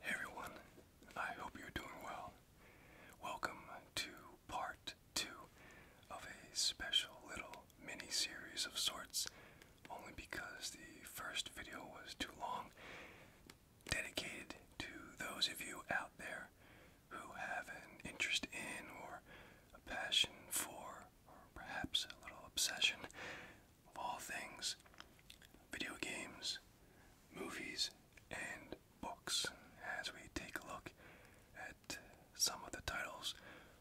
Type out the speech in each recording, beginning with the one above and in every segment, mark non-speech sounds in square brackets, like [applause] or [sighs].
Hey everyone, I hope you're doing well. Welcome to part two of a special little mini series of sorts, only because the first video was too long, dedicated to those of you out there who have an interest in or a passion for, or perhaps a little obsession of all things video games, movies, and books as we take a look at some of the titles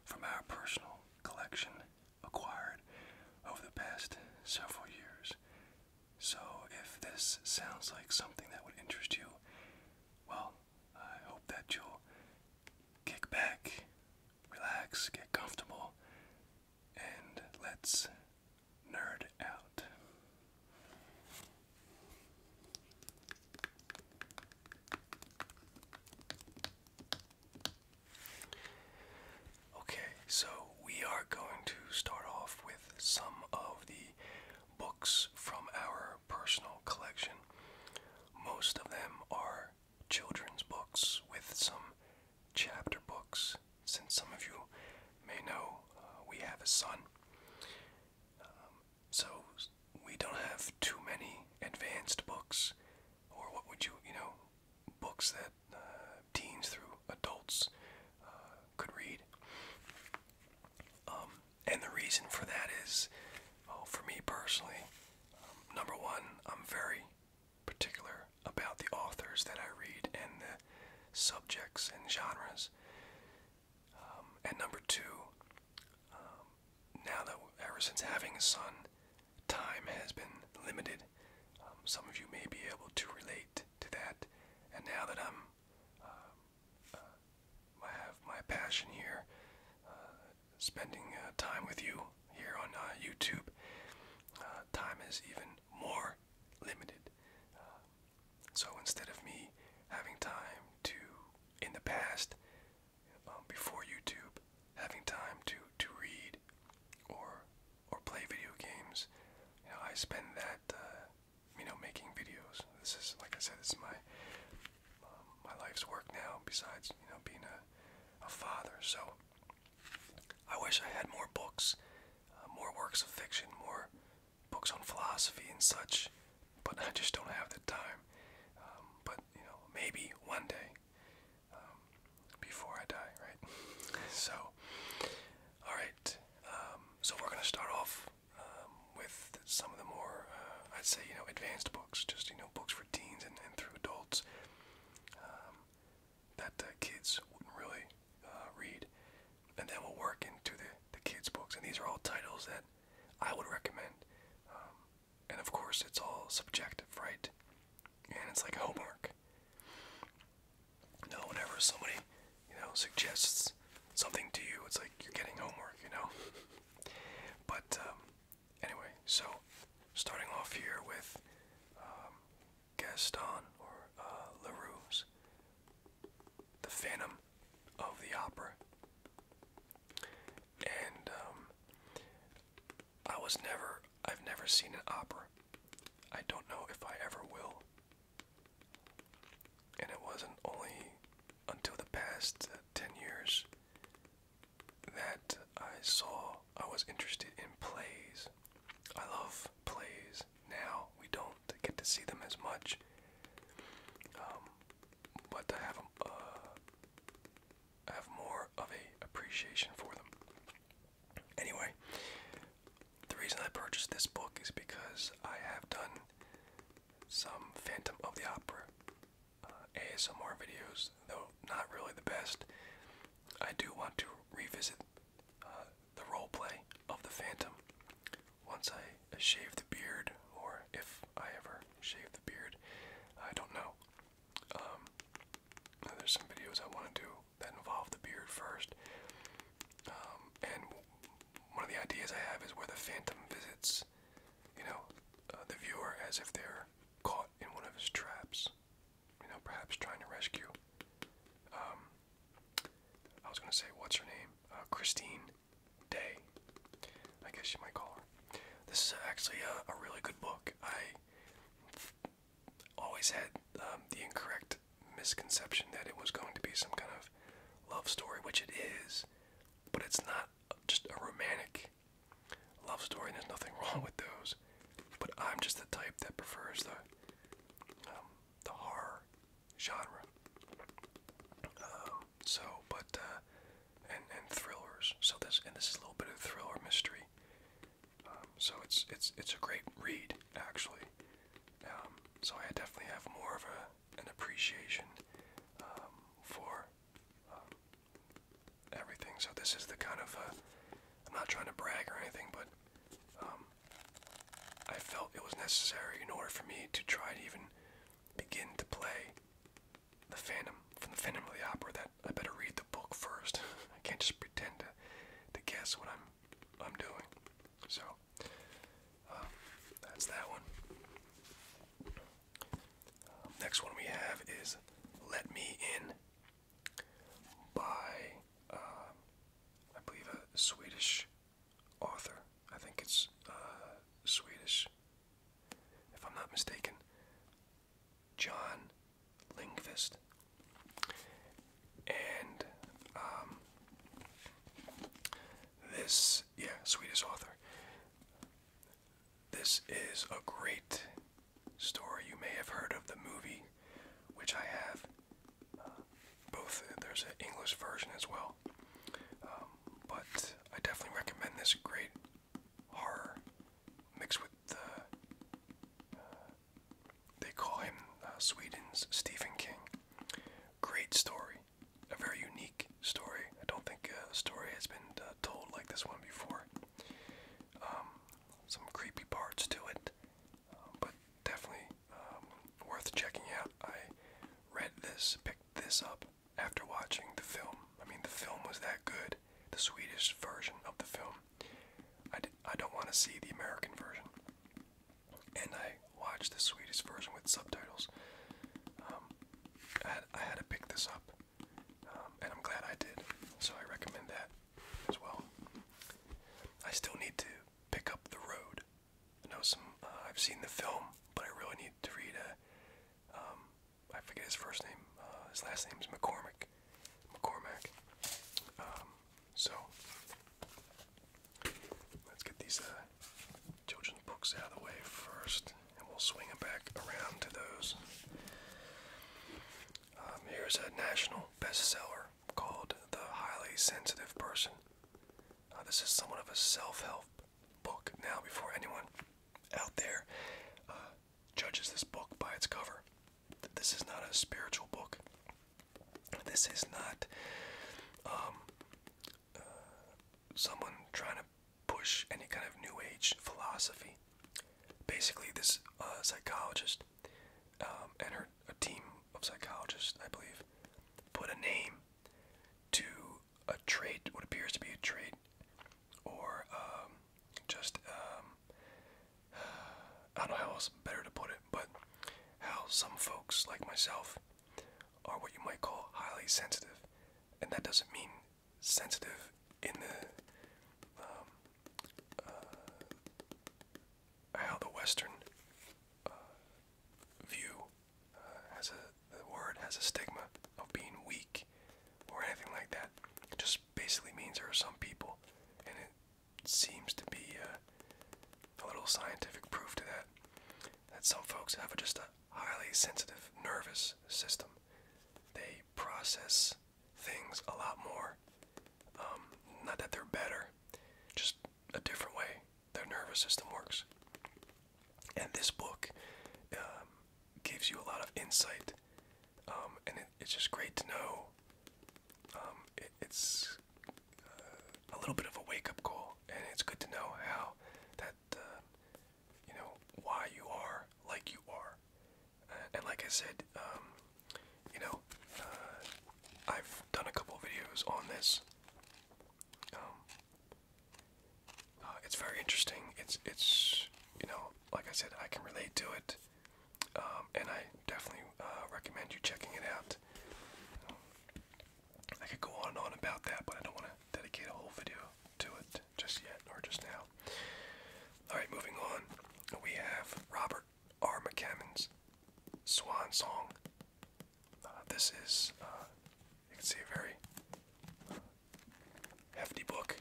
from our personal collection acquired over the past several years. So, if this sounds like something that would interest you, well, I hope that you'll kick back, relax, get comfortable, and let's nerd out. Okay, so we are going to start off with some of the books from our personal collection. Most of them are children's books with some chapter books. Since some of you may know, uh, we have a son. Um, so we don't have too many advanced books, or what would you, you know, books that uh, teens through adults uh, could read. Um, and the reason for that is, well, for me personally, um, number one, I'm very particular about the authors that I read and the subjects and genres. Um, and number two, um, now that ever since having a son, time has been limited. Um, some of you may be able to relate to that. And now that I'm, uh, uh, I have my passion here, uh, spending time with you here on YouTube, uh, time is even more limited. Uh, so instead of me having time to, in the past, um, before YouTube, having time to to read or or play video games, you know, I spend that uh, you know making videos. This is like I said, this is my um, my life's work now. Besides you know being a a father, so I wish I had more books, uh, more works of fiction, more books on philosophy and such, but I just don't have the time. Um, but, you know, maybe one day um, before I die, right? [laughs] so, alright, um, so we're going to start off with some of the more, uh, I'd say, you know, advanced books, just, you know, books for teens and, through adults that the kids wouldn't really uh, read, and then we will work into the, the kids' books. And these are all titles that I would recommend. Um, and of course, it's all subjective, right? And it's like homework. No, whenever somebody, you know, suggests something to you, it's like you're getting homework, you know? But um, anyway, so starting off here with um, Gaston or uh, LaRue's The Phantom of the Opera. And um, I was never, I've never seen an opera. I don't know if I ever will. And it wasn't only until the past uh, 10 years that I saw I was interested in plays. I love plays. Now we don't get to see them as much, um, but I have uh, have more of a appreciation for them. Anyway, the reason I purchased this book is because I have done some Phantom of the Opera uh, ASMR videos, though not really the best. I do want to revisit uh, the role play of the Phantom once I shave the beard, or if I ever shave the beard. I don't know. Um, there's some videos I want to do that involve the beard first. Um, and one of the ideas I have is where the Phantom visits, you know, uh, the viewer as if they're caught in one of his traps you know, perhaps trying to rescue. Um, I was gonna say, what's her name? Uh, Christine Day. I guess you might call her. This is actually a, really good book. I always had um, the incorrect misconception that it was going to be some kind of love story, which it is, but it's not just a romantic love story, and there's nothing [laughs] wrong with those but I'm just the type that prefers the um, the horror genre. Um, so, but uh, and and thrillers. So this and this is a little bit of thriller mystery. Um, so it's it's it's a great read actually. so I definitely have more of a an appreciation for everything. So this is the kind of uh, I'm not trying to brag or anything, but um, I felt it was necessary in order for me to try to even begin to play the Phantom from the Phantom of the Opera. That I better read the book first. [laughs] I can't just pretend to, guess what I'm I'm doing. So um, that's that one. Um, next one we have is "Let Me In" by, um, I believe, a Swedish author. I think it's uh, Swedish, if I'm not mistaken. John Lingvist. And um, this, yeah, Swedish author. This is a great story. You may have heard of the movie, which I have. Uh, both there's an English version as well. Um, but I definitely recommend this great horror mixed with the. Uh, they call him uh, Sweden's Stephen King. Great story, a very unique story. I don't think a story has been told like this one before. Um, some creepy parts to it, um, but definitely um, worth checking out. I read this, picked this up after watching the film. I mean, the film was that good, the Swedish version of the film. I, I don't want to see the American version. And I watched the Swedish version with subtitles. Um, I, had, to pick this up, and I'm glad I did. So I recommend that as well. I still need to pick up The Road. I know some. Uh, I've seen the film, but I really need to read a. Um, I forget his first name. Uh, his last name is McCormick. McCormack. Um, so let's get these uh, children's books out of the way first, and we'll swing them back around to those. Um, here's a national bestseller called The Highly Sensitive Person. Uh, this is somewhat of a self help book now before anyone out there uh, judges this book by its cover. This is not a spiritual book. This is not um, uh, someone trying to push any kind of new age philosophy. Basically, this psychologist um, and her a team of psychologists, I believe, put a name to a trait, what appears to be a trait, or um, just um, [sighs] I don't know how else better to put it, but how some folks like myself are what you might call highly sensitive, and that doesn't mean sensitive in the uh, how the Western uh, view uh, has a word has a stigma of being weak or anything like that. It just basically means there are some people, and it seems to be a little scientific proof to that. That some folks have just a highly sensitive nervous system. They process things a lot more. Um, not that they're better, just a different way their nervous system works. And this book um, gives you a lot of insight, um, and it's just great to know. it's uh, a little bit of a wake-up call, and it's good to know how that uh, you know why you are like you are, and like I said, um, you know, uh, I've done a couple videos on this. Um, uh, it's very interesting. It's it's you know, like I said, I can relate to it, um, and I definitely uh, recommend you checking it out. I could go on and on about that, but I don't want to dedicate a whole video to it just yet or just now. All right, moving on. We have Robert R. McCammon's Swan Song. Uh, this is, uh, you can see, a very uh, hefty book.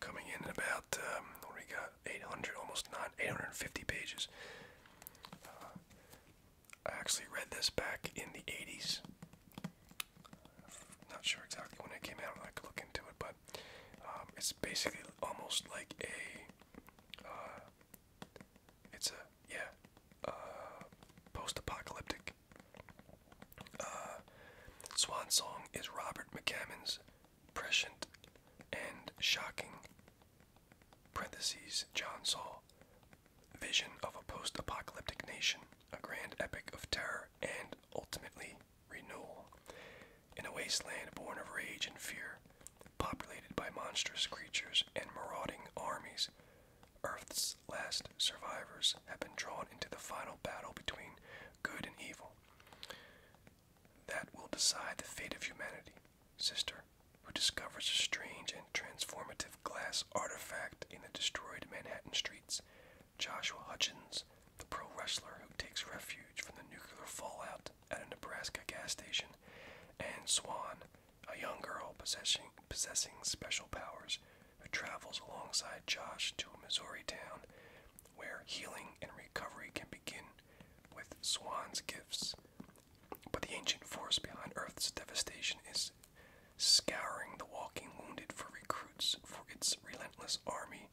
coming in at about, um, we got, 800, almost not 850 pages. I actually read this back in the 80s. not sure exactly when it came out. I could look into it, but um, it's basically almost like a, uh, it's a yeah, uh, post-apocalyptic. Uh, swan Song is Robert McCammon's prescient and shocking parentheses John Saul vision of a post-apocalyptic nation, a grand epic of terror and ultimately renewal in a wasteland born of rage and fear, populated by monstrous creatures and marauding armies. Earth's last survivors have been drawn into the final battle between good and evil. That will decide the fate of humanity. Sister, who discovers a strange and transformative glass artifact in the destroyed Manhattan streets, Joshua Hutchins the pro wrestler who takes refuge from the nuclear fallout at a Nebraska gas station, and Swan, a young girl possessing, possessing special powers who travels alongside Josh to a Missouri town where healing and recovery can begin with Swan's gifts. But the ancient force behind Earth's devastation is scouring the walking wounded for recruits for its relentless army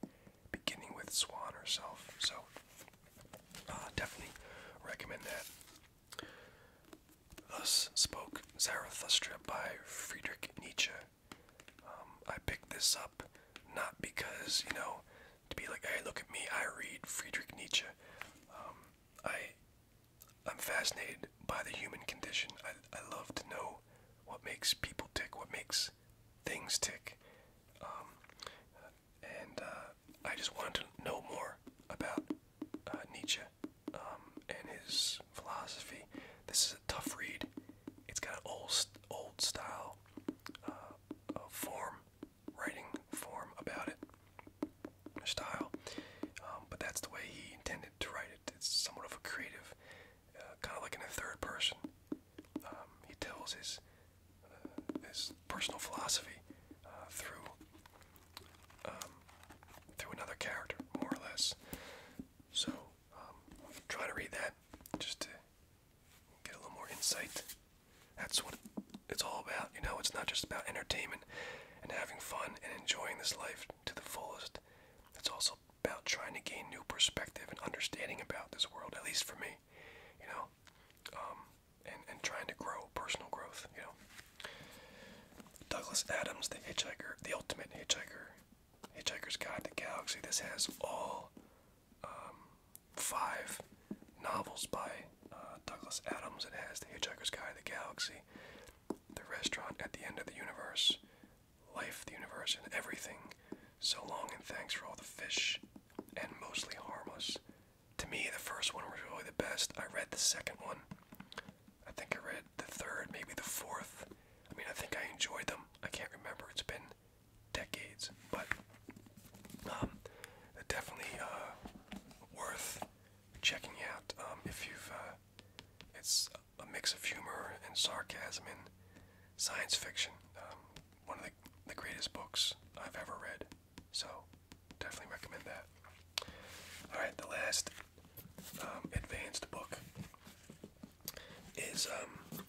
beginning with Swan herself. So uh, definitely recommend that. Thus spoke Zarathustra by Friedrich Nietzsche. Um, I picked this up not because, you know, to be like, hey, look at me, I read Friedrich Nietzsche. Um, I, I'm fascinated by the human condition. I, I love to know what makes people tick, what makes things tick. Um, and uh, I just wanted to know more about uh, Nietzsche um, and his philosophy. This is a tough read. It's got an old, old style uh, form, writing form about it, style. Um, but that's the way he intended to write it. It's somewhat of a creative, uh, kind of like in a third person um, he tells his uh, his personal philosophy uh, through um, through another character, more or less. So um, try to read that just to get a little more insight. That's what it's all about, you know. It's not just about entertainment and having fun and enjoying this life to the fullest. It's also about trying to gain new perspective and understanding about this world, at least for me you know, um, and and trying to grow personal growth, you know. Douglas Adams, the hitchhiker, the ultimate hitchhiker, Hitchhiker's Guide to the Galaxy. This has all um, five novels by uh, Douglas Adams. It has the Hitchhiker's Guide to the Galaxy, the Restaurant at the End of the Universe, Life, the Universe, and Everything so long and thanks for all the fish and mostly harmless. To me, the first one was really the best. I read the second one. I think I read the third, maybe the fourth. I mean, I think I enjoyed them. I can't remember. It's been decades, but um, definitely uh, worth checking out um, if you've. Uh, it's a mix of humor and sarcasm and science fiction. Um, one of the, the greatest books I've ever read. So definitely recommend that. All right, the last um, advanced book is um,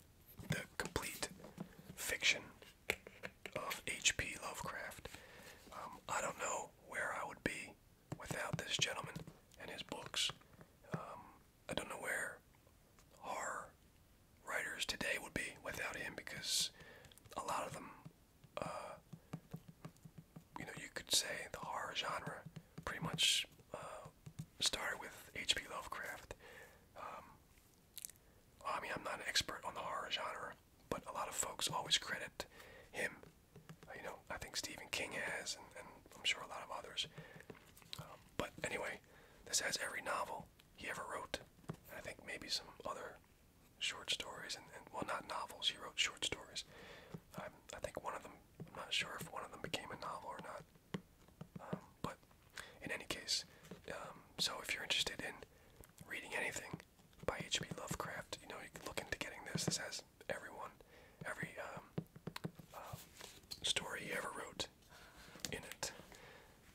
the complete fiction of H.P. Lovecraft. Um, I don't know where I would be without this gentleman and his books. Um, I don't know where horror writers today would be without him because a lot of them, uh, you know, you could say the horror genre pretty much uh, started with H.P. Lovecraft. Um, I mean, I'm not an expert on the horror genre, but a lot of folks always credit him. you know, I think Stephen King has, and, I'm sure a lot of others. Um, but anyway, this has every novel he ever wrote. And I think maybe some other short stories, and, and well, not novels. He wrote short stories. Um, I think one of them. I'm not sure if one of them became a novel or not. Um, but in any case, um, so if you're interested in reading anything by H.P. Lovecraft, you know you can look into getting this. This has everyone, every um, um, story he ever wrote in it.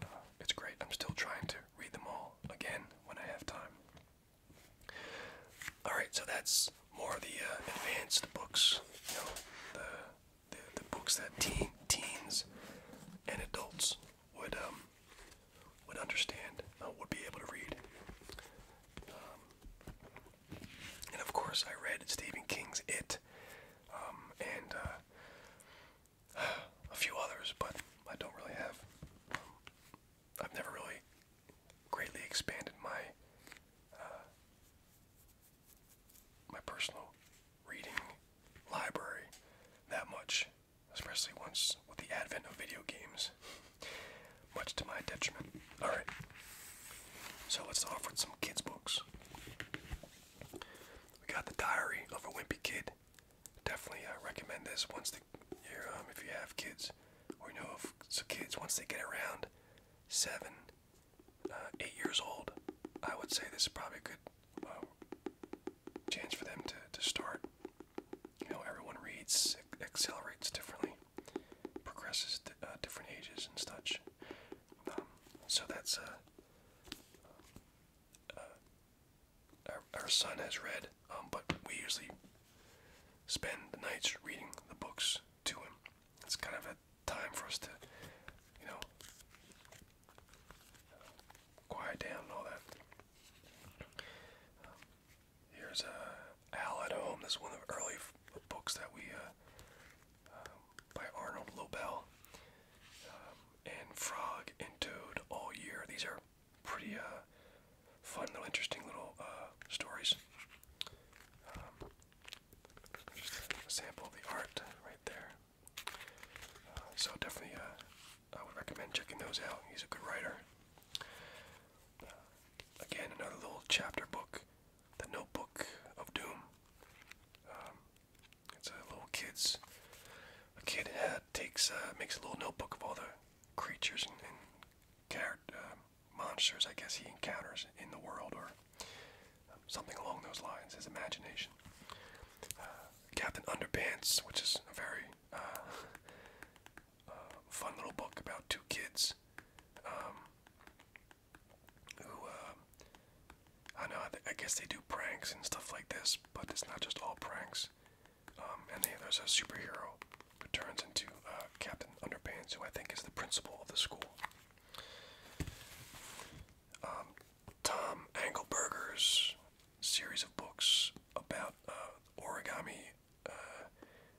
Uh, it's great. I'm still trying to read them all again when I have time. Alright, so that's more of the uh, advanced books, you know, the, the, books that teens and adults would, um, would understand, uh, would be able to read. Um, and of course, I read Stephen King's It, um, and a few others, but I don't really have. I've never really greatly expanded my uh, my personal reading library that much, especially once with the advent of video games, much to my detriment. All right, so let's offer some kids' books. We got the Diary of a Wimpy Kid. Definitely uh, recommend this once the um, if you have kids or know of so kids once they get around seven, uh, eight years old. I would say this is probably a good uh, chance for them to to start. You know, everyone reads, accelerates differently, progresses at different ages and such. Um, so that's uh, uh, our, son has read, um, but we usually spend the nights reading the books to him. It's kind of a time for us to, you know, quiet down and all that. Um, here's a uh, Al at Home. This is one of the early books that we uh, um, by Arnold Lobel. Um, and Frog and Toad all year. These are pretty uh, fun little interesting little uh, stories. Um, sample of the art right there. Uh, so definitely I would recommend checking those out. He's a good writer. again, another little chapter book, The Notebook of Doom. Um, it's a little kid's. A kid takes uh, makes a little notebook of all the creatures and, and character uh, monsters I guess he encounters in the world or something along those lines. His imagination. Uh, Captain Underpants, which is a very uh, fun little book about two kids um, who I know, I, guess they do pranks and stuff like this, but it's not just all pranks. Um, and there's a superhero who turns into uh, Captain Underpants, who I think is the principal of the school. Um, Tom Engelberger's series of books about uh, origami. Uh,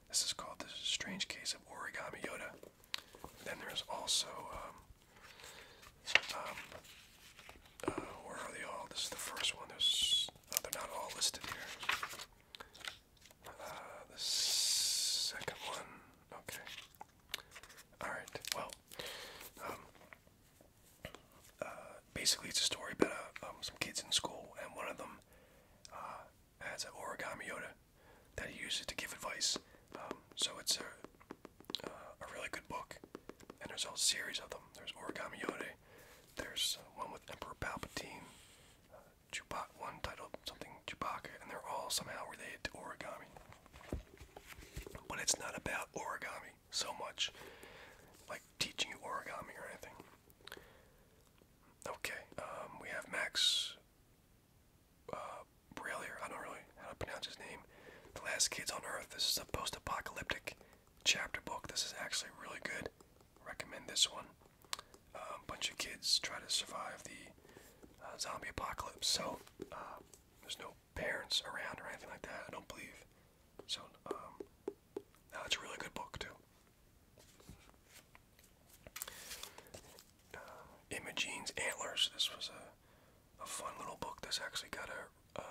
this is called The Strange Case of Origami Yoda. Then there's also um, um, uh, where are they all? This is the first one. There's, oh, they're not all listed here. Uh, the second one. Okay. All right. Well, um, uh, basically, it's a story about um, some kids in school, and one of them has an origami Yoda that he uses to give advice. so it's a a really good book, and there's a whole series of them. There's Origami Yode, there's uh, one with Emperor Palpatine, uh, Chewbacca, one titled something Chewbacca, and they're all somehow related to origami. But it's not about origami so much, like teaching you origami or anything. Okay, um, we have Max uh, Brailler, I don't really how to pronounce his name. The Last Kids on Earth. This is a post-apocalyptic chapter book. This is actually really good. Recommend this one. A uh, bunch of kids try to survive the uh, zombie apocalypse. So uh, there's no parents around or anything like that. I don't believe. So that's um, a really good book too. Imogene's Antlers. This was a a fun little book that's actually got a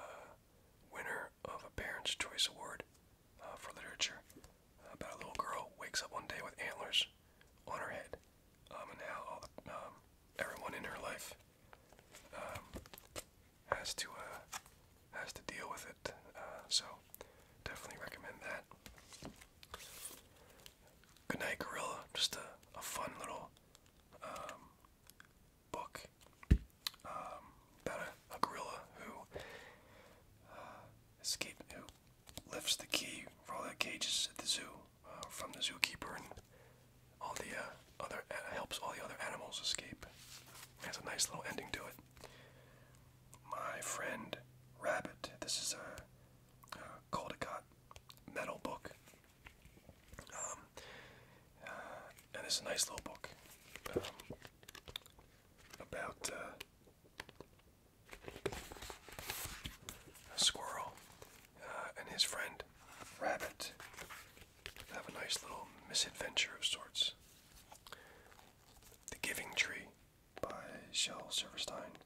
winner of a Parents' Choice Award uh, for literature uh, about a little girl wakes up one day with antlers on her head, um, and now um, everyone in her life um, has to uh, has to deal with it. so definitely recommend that. Good night, Gorilla. Just a, fun little book um, about a, gorilla who uh, who lifts the key for the cages at the zoo uh, from the zookeeper, and all the uh, other uh, helps all the other animals escape. has a nice little ending to it. My friend Rabbit. This is a, Caldecott metal book. Um, uh, and it's a nice little book um, about uh, a squirrel uh, and his friend Rabbit have a nice little misadventure of sorts. The Giving Tree by Shel Silverstein.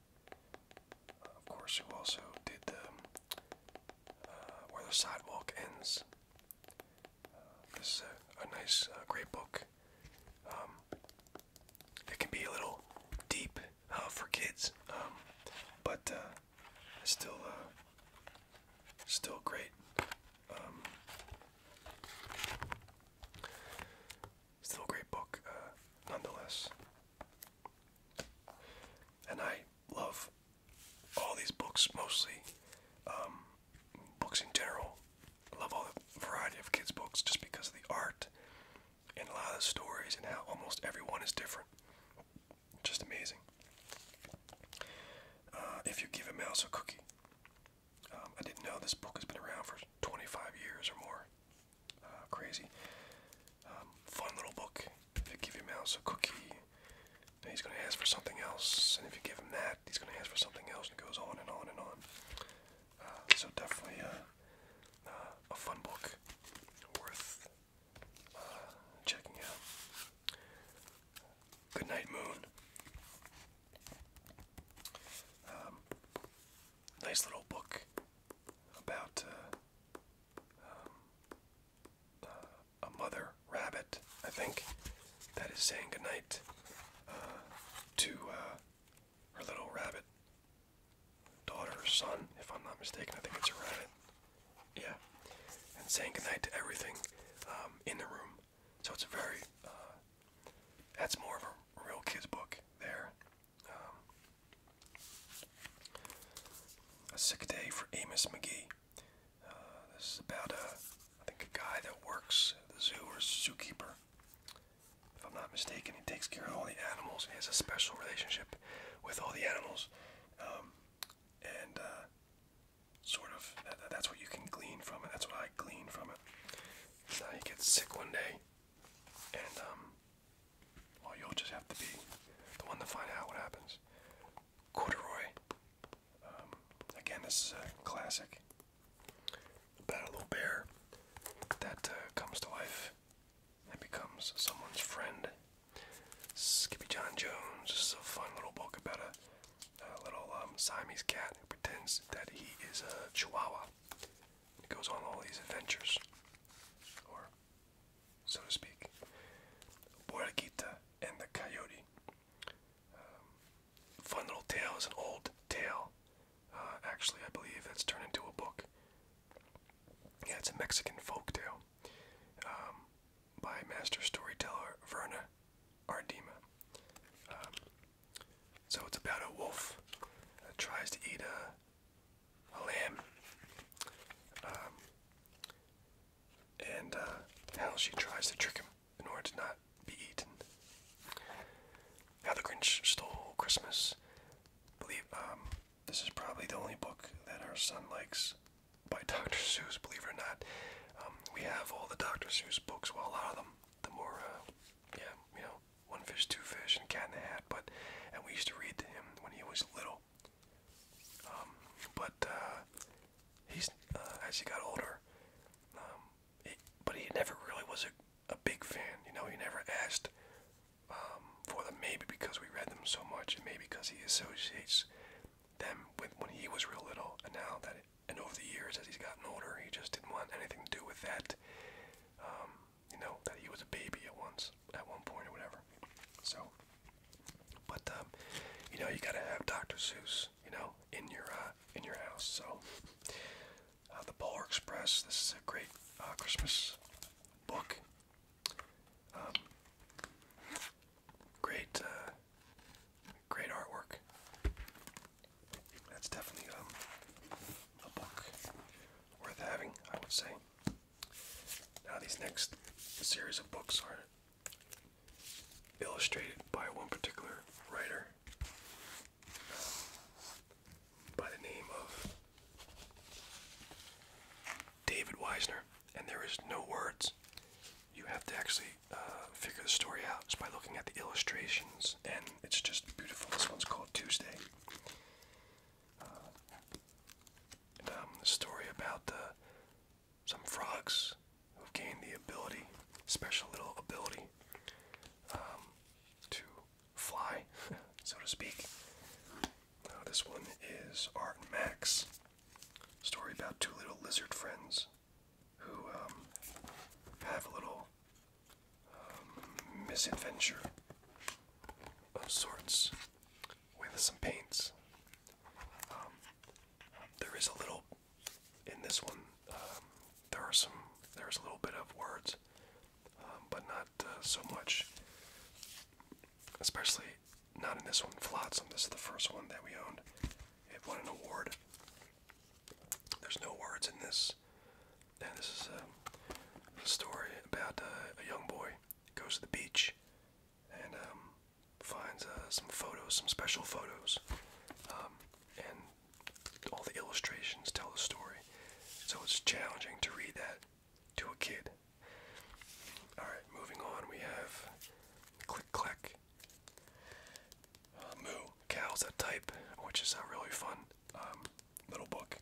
of course, who also did the um, uh, where the sidewalk ends. Uh, this is a, nice, uh, great book. Um, it can be a little deep for kids, um, but still, still great. Um, still a great book, nonetheless and I love all these books mostly, um, books in general. I love all the variety of kids' books just because of the art and a lot of the stories and how almost everyone is different. Just amazing. Uh, if you give a mouse a cookie. Um, I didn't know this book has been around for 25 years or more. Uh, crazy. Um, fun little book. If you give your mouse a cookie, he's going to ask for something else, and if you give him that, he's going to ask for something else, and it goes on and on and on. Uh, so definitely uh, uh, a fun book, worth checking out. Good night, Moon. Um, nice little book about um, a mother rabbit, I think, that is saying goodnight uh, to uh, her little rabbit daughter or son, if I'm not mistaken. I think it's a rabbit. Yeah. And saying goodnight to everything um, in the room. So it's a very, uh, that's more of a real kid's book there. Um, a Sick Day for Amos McGee. Uh, this is about a, uh, I think a guy that works at the zoo or zookeeper. If I'm not mistaken, he takes care of all the animals. He has a special relationship with all the animals, um, and uh, sort of that, that's what you can glean from it. That's what I glean from it. So he gets sick one day, and um, well, you'll just have to be the one to find out what happens corduroy. Um, again, this is a classic about a little bear that uh, comes to life and becomes someone's friend. Skippy John Jones. This a fun little book about a, little um, Siamese cat who pretends that he is a Chihuahua. He goes on all these adventures, so to speak, Borquita and the coyote. Um, fun little tale is an old tale. Uh, actually, I believe that's turned into a book. Yeah, it's a Mexican folk tale um, by master storyteller Verna Ardima. Um, so it's about a wolf that tries to eat a, lamb and how uh, she tries to trick him in order to not be eaten. How the Grinch Stole Christmas. believe um, this is probably the only book that our son likes by [laughs] Dr. Seuss. Believe it or not, um, we have all the Dr. Seuss books. Well, a lot of them. The more, uh, yeah, you know, One Fish, Two Fish, and Cat in the Hat. But and we used to read to him when he was little well. Um, but uh, he's uh, as he got older, um, he, but he never really was a, a big fan. You know, he never asked um, for them. Maybe because we read them so much, and maybe because he associates them with when he was real little, and now that it, and over the years as he's gotten older, he just didn't want anything to do with that. Um, you know that he was a baby at once, at one point or whatever. So, but um, you know, you gotta have Dr. Seuss, you know, in your uh, in your house. So, uh, the Polar Express. This is a great uh, Christmas book. Um, great, great artwork. That's definitely um, a book worth having, I would say. Now these next series of books are illustrated by one particular writer um, by the name of David Weisner, and there is no words. You have to actually uh, figure the story out by looking at the illustrations, and it's just beautiful. This one's called Tuesday. Uh, um, story about the some frogs who've gained the ability, special little ability, um, to fly, [laughs] so to speak. Uh, this one is Art and Max. Story about two little lizard friends who um, have a little um, misadventure of sorts with some paints. Um, there is a little in this one. Um, there are some. There's a little bit of words, um, but not uh, so much. Especially not in this one. Flotsam. This is the first one that we owned. It won an award. There's no words in this. And this is a, story about uh, a young boy goes to the beach, and finds uh, some photos, some special photos, um, and all the illustrations tell the story. So it's challenging to read that to a kid. Alright, moving on, we have Click Clack. Uh, moo, Cows That Type, which is a really fun um, little book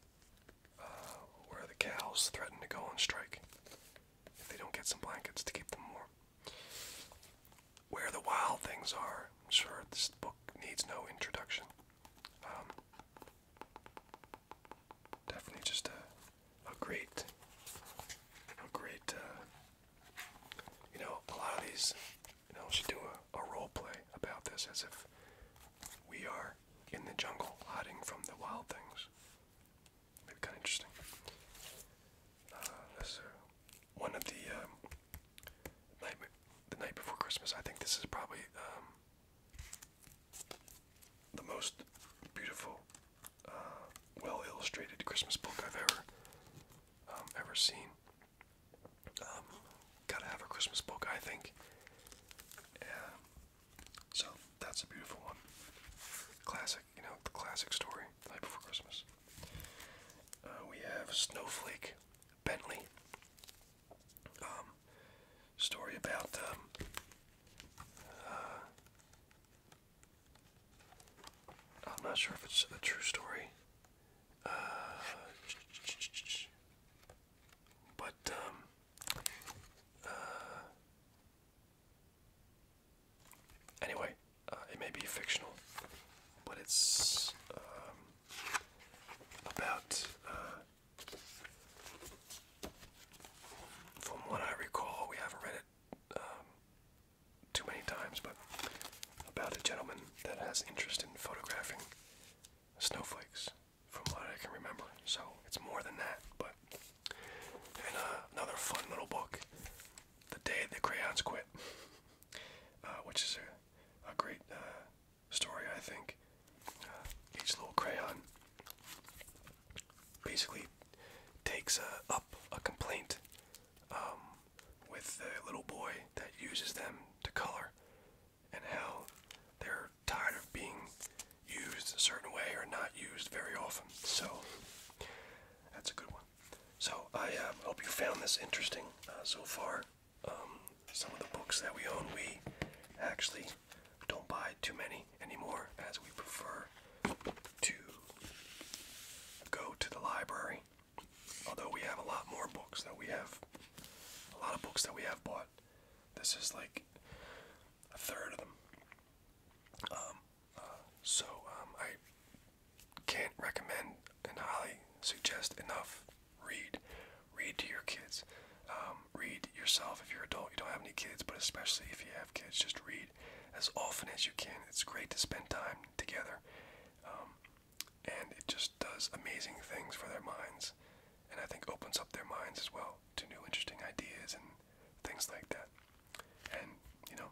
uh, where the cows threaten to go on strike if they don't get some blankets to keep them warm. Where the Wild Things Are. I'm sure this book needs no introduction. Um, definitely just a, a great, a great, uh, you know, a lot of these, you know, should do a, a role play about this as if we are in the jungle hiding from the wild things kind of interesting. Uh, this uh, one of the um, night, the night before Christmas. I think this is probably um, the most beautiful, uh, well illustrated Christmas book I've ever um, ever seen. gotta have a Christmas book, I think. So that's a beautiful one. Classic, you know, the classic story, The Night Before Christmas. Uh, we have Snowflake Bentley. Um, story about um, uh, I'm not sure if it's a true story, uh, but um, Anyway, uh, it may be fictional, but it's um, about, uh, from what I recall, we haven't read it um, too many times, but about a gentleman that has interest in photographing snowflakes, from what I can remember. So it's more than that, but and uh, another fun little book, The Day the Crayons Quit, uh, which is a, great uh, story, I think. each little crayon basically takes up a complaint um, with the little boy that uses them to color and how they're tired of being used a certain way or not used very often. So that's a good one. So I um, hope you found this interesting uh, so far. Um, some of the books that we own, we actually don't buy too many anymore, as we prefer to go to the library. Although we have a lot more books that we have, a lot of books that we have bought. This is like a third of them. Um, uh, so um, I can't recommend and highly suggest enough. Read, read to your kids. Um, read yourself if you're adult. You don't have any kids, but especially if you have kids, just read as often as you can. It's great to spend time together, um, and it just does amazing things for their minds, and I think opens up their minds as well to new interesting ideas and things like that. And you know,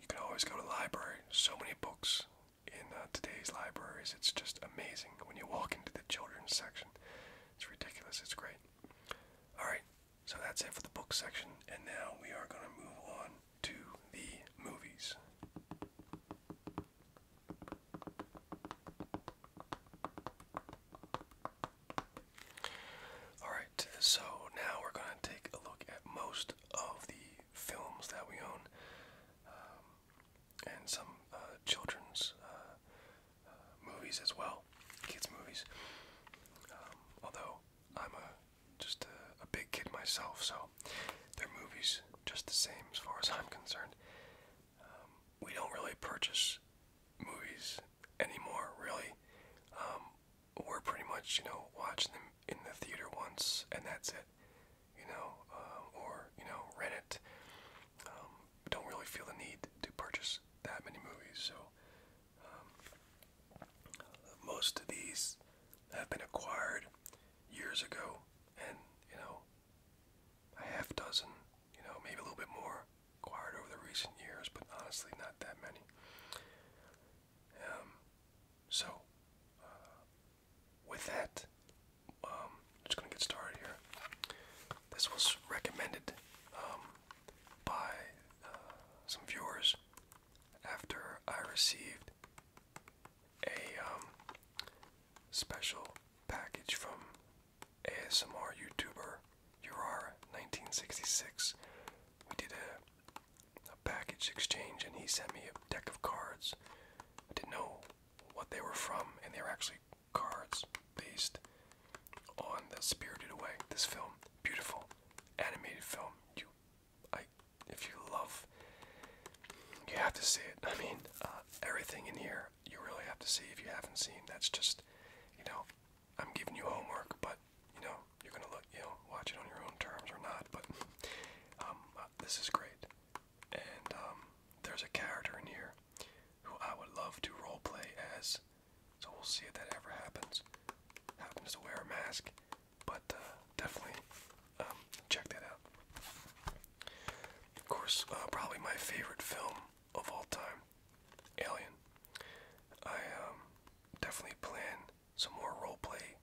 you can always go to the library. So many books in uh, today's libraries. It's just amazing when you walk into the children's section. It's ridiculous. It's great. All right, so that's it for the book section, and now we are going to move on to the movies. Alright, so now we're going to take a look at most of the films that we own um, and some uh, children's uh, uh, movies as well, kids' movies. Um, although I'm a, just a, a big kid myself, so they're movies just the same as far as I'm concerned. Um, we don't really purchase movies anymore, really. Um, we're pretty much, you know, watching them in the theater once and that's it, you know, uh, or, you know, rent it. Um, don't really feel the need to purchase that many movies, so um, most of these have been acquired years ago and, you know, a half dozen, you know, maybe a little bit more acquired over the recent years, but honestly, not that many. Um, so, uh, with that, um, I'm just going to get started here. This was recommended um, by uh, some viewers after I received a um, special package from ASMR YouTuber Urara, 1966. We did a, package exchange, and he sent me a deck of cards. I didn't know what they were from, and they were actually cards based on the Spirited Away. This film, beautiful animated film. You, I, if you love, you have to see it. [laughs] I mean, uh, everything in here, you really have to see if you haven't seen. That's just, you know, I'm giving you homework, but you know you're gonna look, you know, watch it on your own terms or not. But um, uh, this is great, and um, there's a character in here who I would love to role play as. So we'll see if that ever happens. Happens to wear a mask, but uh, definitely um, check that out. Of course, uh, probably my favorite film of all time Alien. I um, definitely plan some more roleplay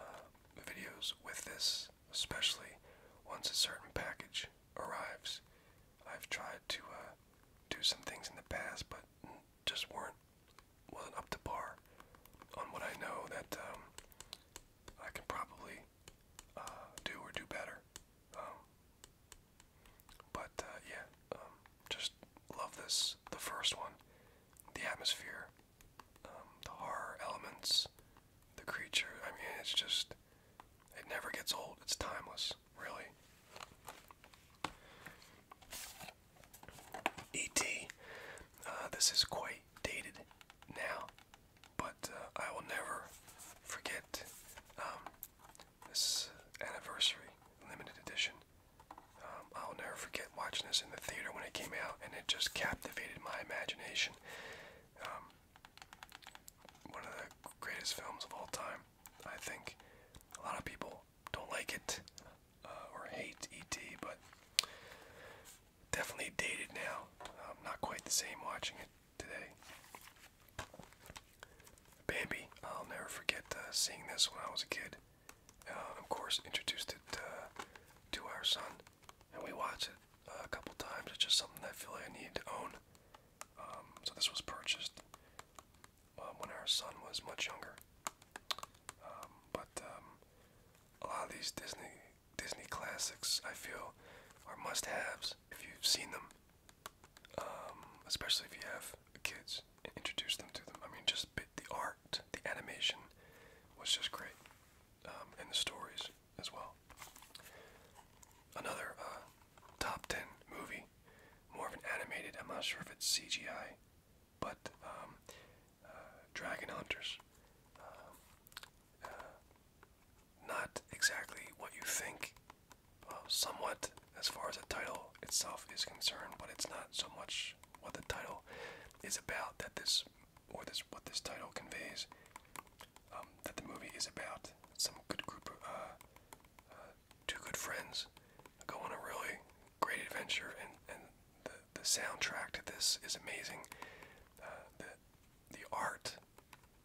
uh, videos with this, especially once a certain package arrives. I've tried to uh, do some things in the past, but just weren't wasn't up to par on what I know that um, I can probably uh, do or do better. Um, but uh, yeah, um, just love this. The first one, the atmosphere, um, the horror elements, the creature. I mean, it's just, it never gets old. It's timeless, really. E.T. Uh, this is quite dated now, but uh, I will never forget um, this anniversary limited edition um, I'll never forget watching this in the theater when it came out, and it just captivated my imagination. Um, one of the greatest films of all time, I think. A lot of people don't like it uh, or hate E.T., but definitely dated now. Um, not quite the same watching it today. Bambi. I'll never forget uh, seeing this when I was a kid. Uh, of course, introduced it uh, to our son, and we watched it a couple times. It's just something that I feel like I need to own. Um, so this was purchased when our son was much younger. Um, but um, a lot of these Disney Disney classics, I feel, are must-haves if you've seen them. Um, especially if you have kids, introduce them to them. I mean, just the art, the animation was just great, um, and the stories as well. Another uh, top 10 movie, more of an animated, I'm not sure if it's CGI, but um, uh, Dragon Hunters. Uh, not exactly what you think uh, somewhat as far as the title itself is concerned, but it's not so much what the title is about that this or this what this title conveys um, that the movie is about some good group of uh, uh, two good friends go on a really great adventure and and the, the soundtrack to this is amazing the the art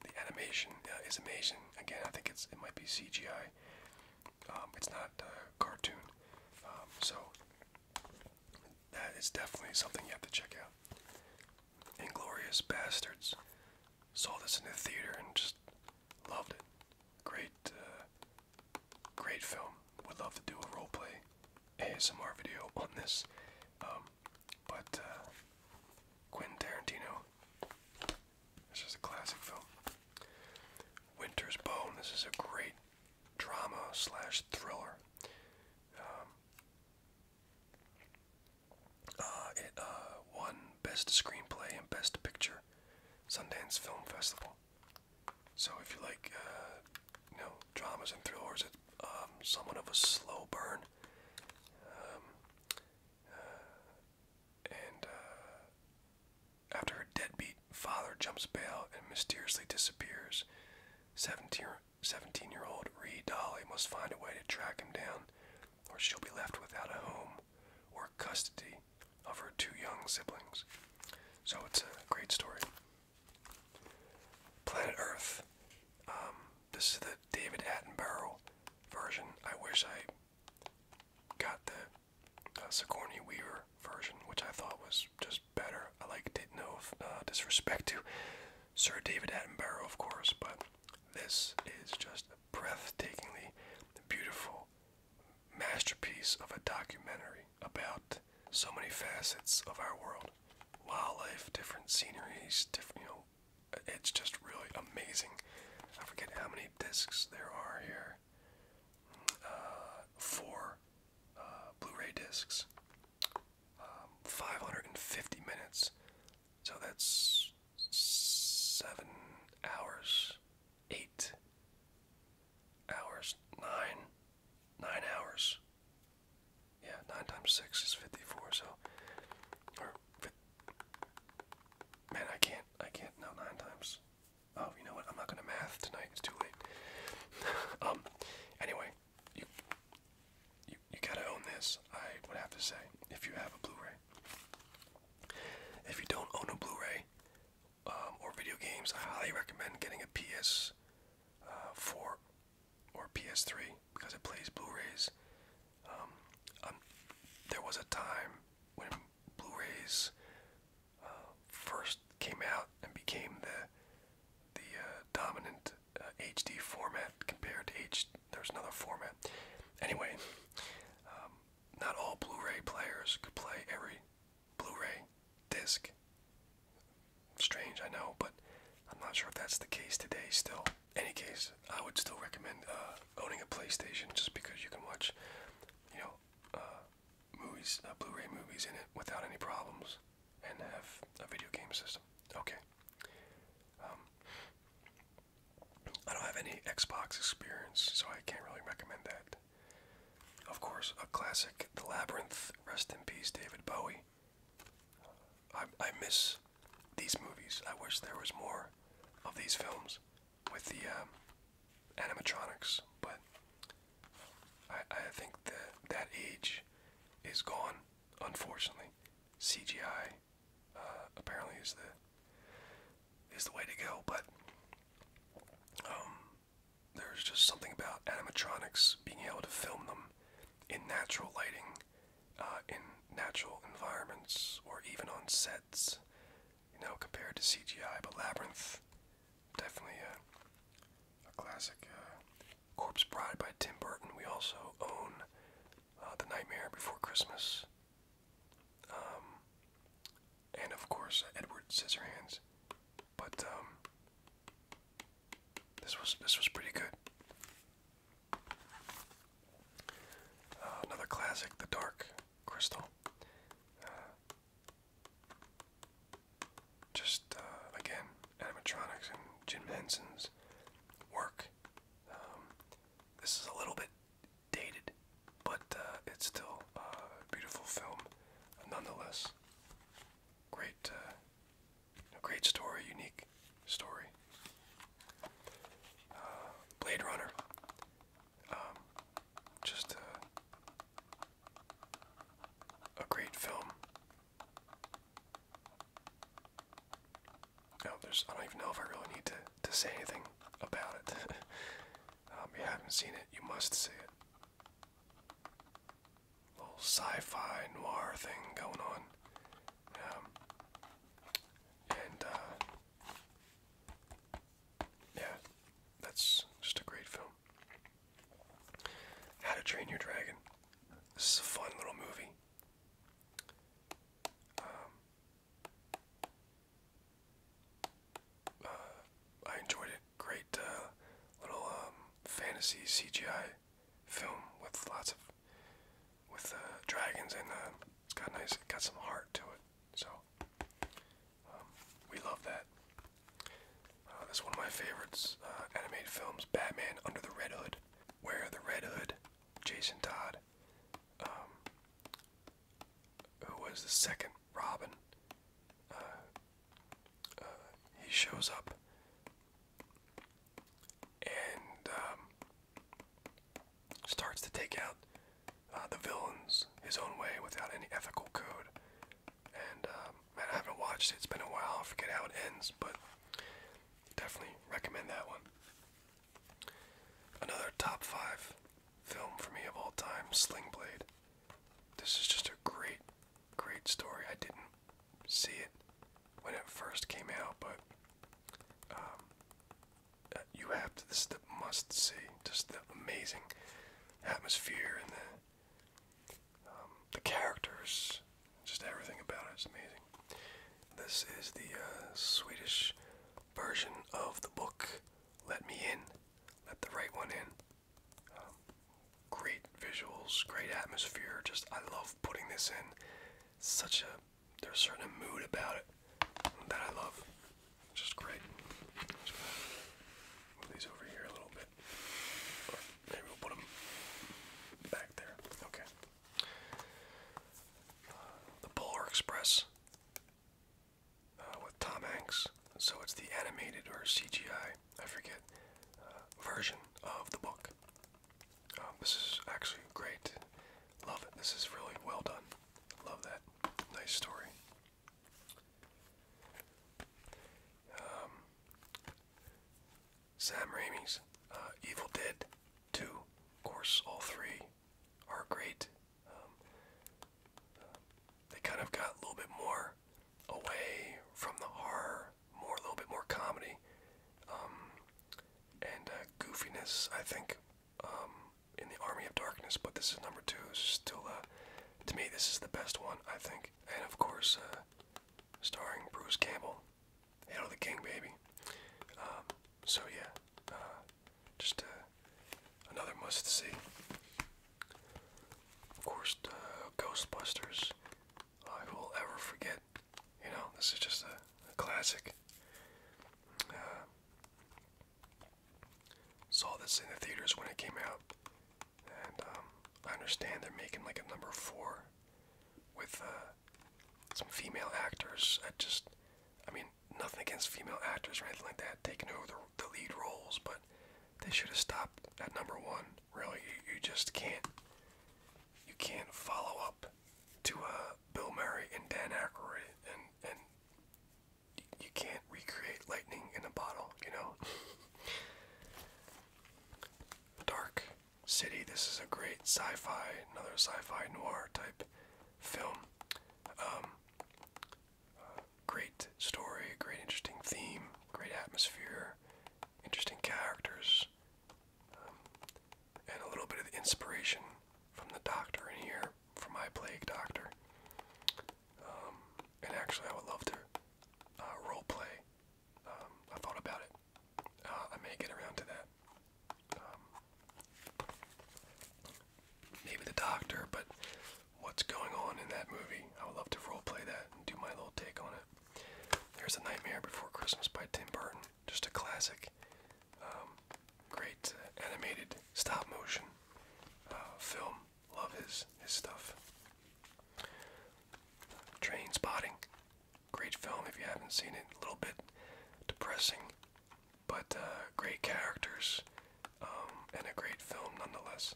the animation is amazing again I think it's it might be CGI um, it's not a cartoon, um, so that is definitely something you have to check out. Inglorious Bastards. Saw this in the theater and just loved it. Great, uh, great film. Would love to do a role play ASMR video [laughs] on this. Um, but uh, Quentin Tarantino this is a classic film. Winter's Bone. This is a great drama slash thriller. Um, uh, it uh, won Best Screenplay and Best Picture, Sundance Film Festival. So if you like, uh, you know, dramas and thrillers, it's um, somewhat of a slow burn. Um, and uh, after her deadbeat father jumps bail and mysteriously disappears, 17 year old Ree Dolly must find a way to track him down, or she'll be left without a home or custody of her two young siblings. So it's a great story. Planet Earth. Um, this is the David Attenborough version. I wish I got the uh, Sigourney Weaver version, which I thought was just better. I like didn't know if, uh, disrespect to Sir David Attenborough, of course, but this is just a breathtakingly beautiful masterpiece of a documentary about so many facets of our world, wildlife, different sceneries, different you know. It's just really amazing. I forget how many discs there are here. Uh, four uh, Blu-ray discs, um, 550 minutes. So that's seven hours, eight hours, nine, nine hours. Yeah, nine times six is 54. So, man, I can't, I can't. No, nine times Oh, you know what? I'm not gonna math tonight. It's too late. [laughs] um. Anyway, you you you gotta own this. I would have to say if you have a Blu-ray. If you don't own a Blu-ray um, or video games, I highly recommend getting a PS4 uh, or PS3 because it plays Blu-rays. Um, um, there was a time when Blu-rays first came out and became the the uh, dominant HD uh, format compared to H. There's another format. Anyway, um, not all Blu-ray players could play every Blu-ray disc. Strange, I know, but I'm not sure if that's the case today. Still, any case, I would still recommend uh, owning a PlayStation just because you can watch, you know, movies, uh, Blu-ray movies in it without any problems, and have a video game system. Okay. Um, I don't have any Xbox experience, so I can't really recommend that. Of course, a classic, The Labyrinth. Rest in peace, David Bowie. Uh, I, I miss these movies. I wish there was more of these films with the um, animatronics, but I, think that that age is gone, unfortunately. CGI uh, apparently is the is the way to go, but um, there's just something about animatronics being able to film them in natural lighting, uh, in natural environments, or even on set you know, compared to CGI. But Labyrinth, definitely a, classic. Uh, corpse Bride by Tim Burton. We also own uh, The Nightmare Before Christmas, um, and of course uh, Edward Scissorhands. But um, this was this was pretty good. Uh, another classic, The Dark Crystal just uh, again animatronics and Jim Henson's work. Um, this is a little bit dated, but uh, it's still uh, a beautiful film nonetheless. Great, great story, unique story. Blade Runner. Um, just a, a great film. Oh, there's, I don't even know if I really need to, to say anything about it. [laughs] Um, you haven't seen it, you must see it. Little sci-fi noir thing going on, um, and uh, yeah, that's just a great film. How to Train Your Dragon. This is a fun little movie. Um, uh, I enjoyed it. Great uh, little um, fantasy CGI film with lots of with uh, dragons and it's got nice, got some heart to it. So um, we love that. Uh, this is one of my favorites uh, animated films, Batman Under the Red Hood, where the Red Hood, Jason Todd, um, who was the second Robin, uh, uh, he shows up and um, starts to take out uh, the villains his own way without any ethical code. And um, man, I haven't watched it. It's been a while. I forget how it ends, but definitely recommend that one. Another top five film for me of all time, Sling Blade. This is just a great, great story. I didn't see it when it first came out, but um, you have to. This is the must see. Just the amazing atmosphere and the um, the characters. Just everything about it is amazing. This is the uh, Swedish version of the book. Let me in. Let the right one in. Um, great visuals, great atmosphere. Just I love putting this in. Such a there's certain mood about it that I love. Just great. move these over here a little bit. maybe we'll put them back there. Okay. the Polar Express uh, with Tom Hanks. So it's the animated or CGI, I forget, uh, version of the book. Um, this is actually great. Love it. This is really well done. Love that. Nice story. Um, Sam Raimi's uh, Evil Dead 2. Of course, all three are great. Um, they kind of got a little bit more away from the horror, more a little bit more comedy um, and uh, goofiness, I think in the Army of Darkness, but this is number two. still, uh, to me, this is the best one, I think. And of course, uh, starring Bruce Campbell, Hail the King, baby. Um, so yeah, uh, just uh, another must see. Of course, uh, Ghostbusters. I will ever forget. You know, this is just a, classic. Uh, Saw this in the theaters when it came out, and um, I understand they're making like a number four with uh, some female actors. I just, I mean, nothing against female actors or anything like that taking over the, the lead roles, but they should have stopped at number one. Really, you, you just can't, you can't follow up to uh, Bill Murray and Dan Aykroyd and and you can't recreate lightning in a bottle, you know? Dark City, this is a great sci fi, another sci fi noir type film. Um, great story, great interesting theme, great atmosphere, interesting characters, um, and a little bit of the inspiration from the doctor in here, from my plague doctor. Um, and actually, I would love to uh, role play. Um, I thought about it. Uh, I may get around to that. Um, maybe the doctor, but what's going on in that movie? I would love to role play that and do my little take on it. There's a Nightmare Before Christmas by Tim Burton, just a classic. great uh, animated stop motion film Love his his stuff. Train Spotting, great film if you haven't seen it. A little bit depressing, but uh, great characters um, and a great film nonetheless.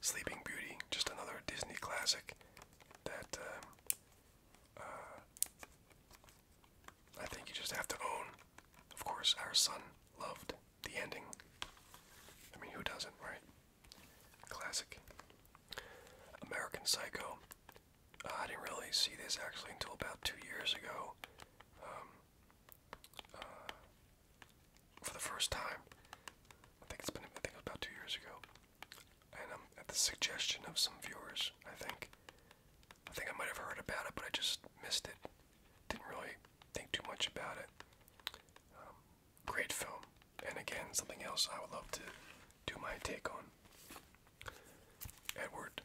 Sleeping Beauty, just another Disney classic that um, uh, I think you just have to own. Of course, our son loved the ending. I mean, who doesn't, right? Classic. American Psycho. Uh, I didn't really see this actually until about two years ago. Um, uh, for the first time. I think it's been, I think it was about two years ago. And um, at the suggestion of some viewers, I think. I think I might have heard about it, but I just missed it. Didn't really think too much about it. Um, great film, and again, something else I would love to do my take on. Edward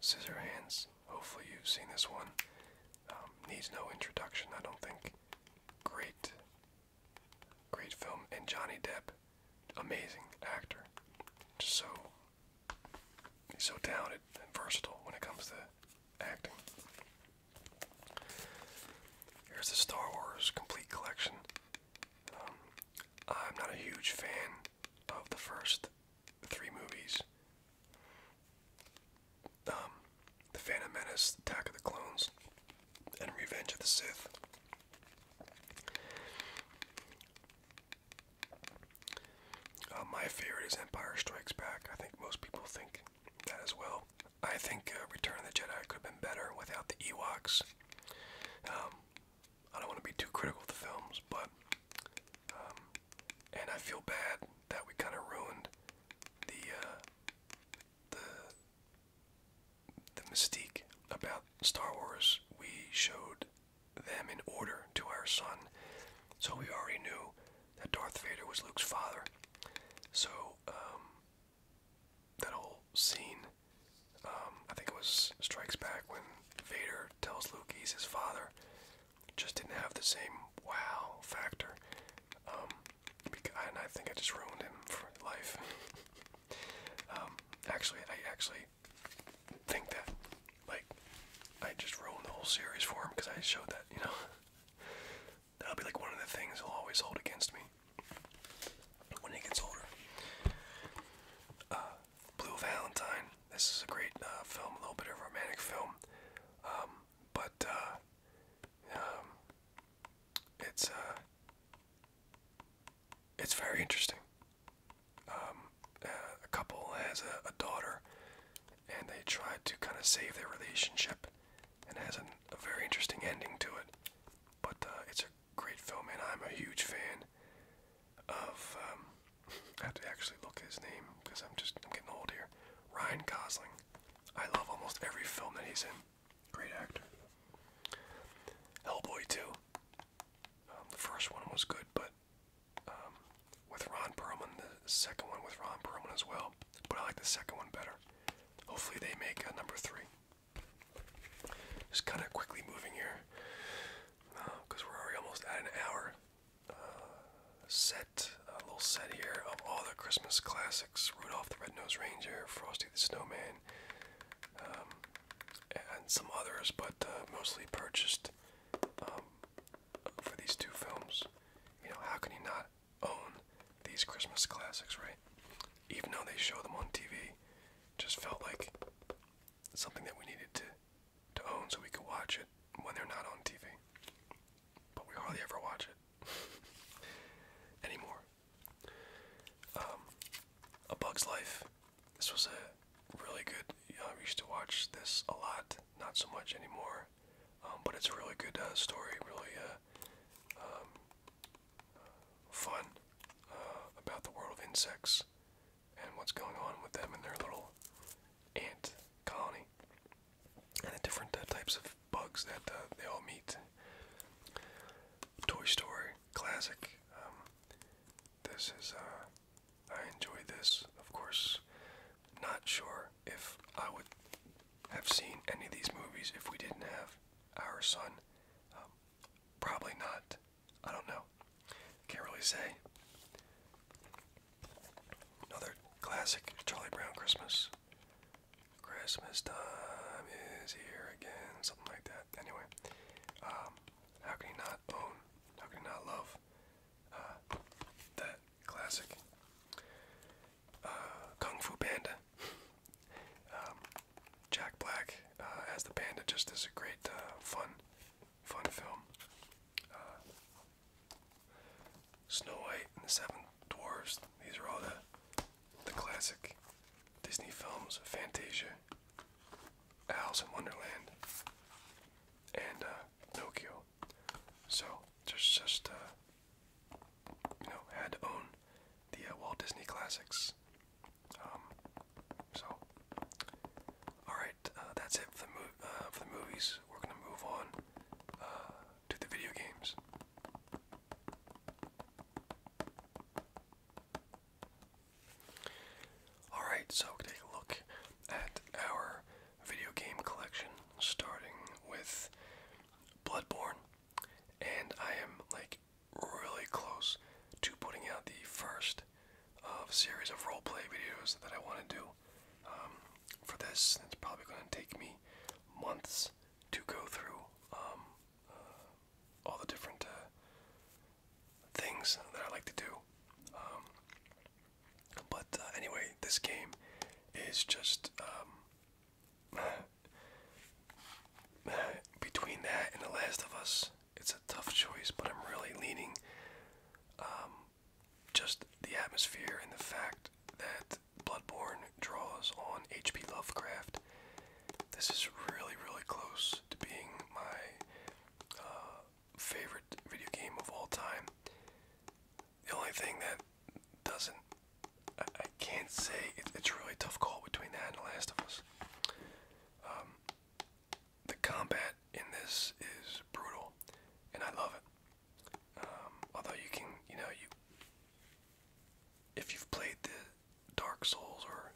Scissorhands. Hopefully, you've seen this one. Um, needs no introduction, I don't think. Great, great film, and Johnny Depp, amazing actor. Just so He's so talented and versatile when it comes to acting. Here's the Star Wars Complete Collection. Um, I'm not a huge fan of the first three movies. Um, the Phantom Menace, Attack of the Clones, and Revenge of the Sith. Uh, my favorite is Empire Strikes Back. I think most people think that as well. I think uh, Return of the Jedi could have been better without the Ewoks. Um, I don't want to be too critical of the films, but. Um, and I feel bad that we kind of ruined the, uh, the, the mystique about Star Wars. We showed them in order to our son. So we already knew that Darth Vader was Luke's father. So um, that whole scene, um, I think it was Strikes Back when Vader tells Luke he's his father, just didn't have the same wow factor. Um, and I think I just ruined him for life. [laughs] um, actually, I actually think that like I just ruined the whole series for him because I showed that, you know. [laughs] That'll be like one of the things he'll always hold against me when he gets older. Uh, Blue Valentine. This is a great uh, film, a little bit of romantic film, um, but uh, um, it's it's very interesting. Um, uh, a couple has a, daughter, and they try to kind of save their relationship, and has a very interesting ending to it. But uh, it's a great film, and I'm a huge fan of. Um, I have to actually look his name because I'm just getting old here. Ryan Gosling. I love almost every film that he's in. Great actor. Hellboy 2. Um, the first one was good, but um, with Ron Perlman, the second one with Ron Perlman as well. But I like the second one better. Hopefully, they make a number three. Just kind of quickly moving here because uh, we're already almost at an hour. Uh, set a little set here of all the Christmas classics: Rudolph the Red-Nosed Reindeer, Frosty the Snowman, um, and some others, but uh, mostly purchased um, for these two films. You know, how can you not own these Christmas classics, right? Even though they show them on TV, just felt like something that we needed to to own so we could watch it when they're not on TV. But we hardly ever watch it [laughs] anymore. Um, a Bug's Life. This was a really good. Um, I used to watch this a lot, not so much anymore, um, but it's a really good uh, story, really uh, um, uh, fun uh, about the world of insects and what's going on with them and their little ant colony and the different uh, types of bugs that uh, they all meet. Toy Story, classic. Um, this is, uh, I enjoy this. Of course, not sure if I would have seen any of these movies if we didn't have our son. Um, probably not. I don't know. Can't really say. Another classic Charlie Brown Christmas. Christmas time is here again, something like that. Anyway, um, how can you not own? How can you not love uh, that classic uh, Kung Fu Panda? Um, Jack Black uh, as the panda just is a great, fun, fun film. Snow White and the Seven Dwarfs. These are all the the classic Disney films. Fantasia, Alice in Wonderland and uh, Nokia. So just just uh, you know had to own the uh, Walt Disney classics. Um, so all right, that's it for the, for the movies. We're gonna move on to the video games. Alright, so we can take a look at our video game collection, starting with Bloodborne. And I am like really close to putting out the first of uh, series of roleplay videos that I want to do. Um, for this, it's probably going to take me months to go through um, uh, all the different uh, things that I like to do. Um, but uh, anyway, this game is just um, [laughs] between that and The Last of Us. It's a tough choice, but I'm really leaning um, just the atmosphere and the fact that Bloodborne draws on H.P. Lovecraft. This is really, really close to being my uh, favorite video game of all time. The only thing that doesn't, I, can't say, it's really tough call between that and The Last of Us. Um, the combat in this is brutal, and I love it. Um, although you can, you know, you if you've played the Dark Souls or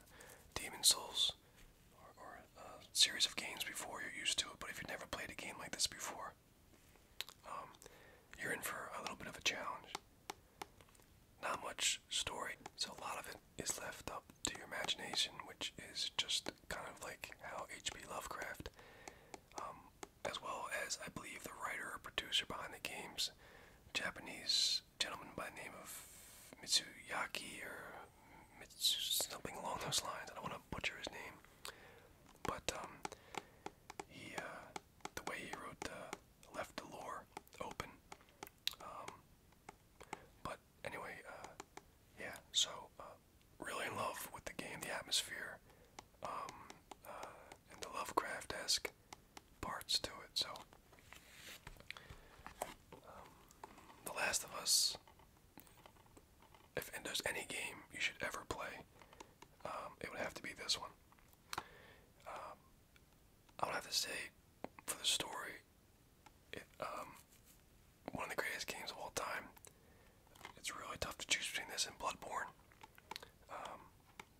Demon Souls or, a series of games before you're used to it. But if you've never played a game like this before, um, you're in for a little bit of a challenge. Not much story, so a lot of it is left up to your imagination, which is just kind of like how H.P. Lovecraft, um, as well as I believe the writer or producer behind the games, Japanese gentleman by the name of Mitsuyaki or it's something along those lines. I don't want to butcher his name, but um, he uh, the way he wrote left the lore open. Um, but anyway, uh, yeah. So uh, really in love with the game, the atmosphere, um, and the Lovecraft-esque parts to it. So. the Last of Us if there's any game you should ever play, um, it would have to be this one. Um, I would have to say, for the story, it, um, one of the greatest games of all time. It's really tough to choose between this and Bloodborne. Um,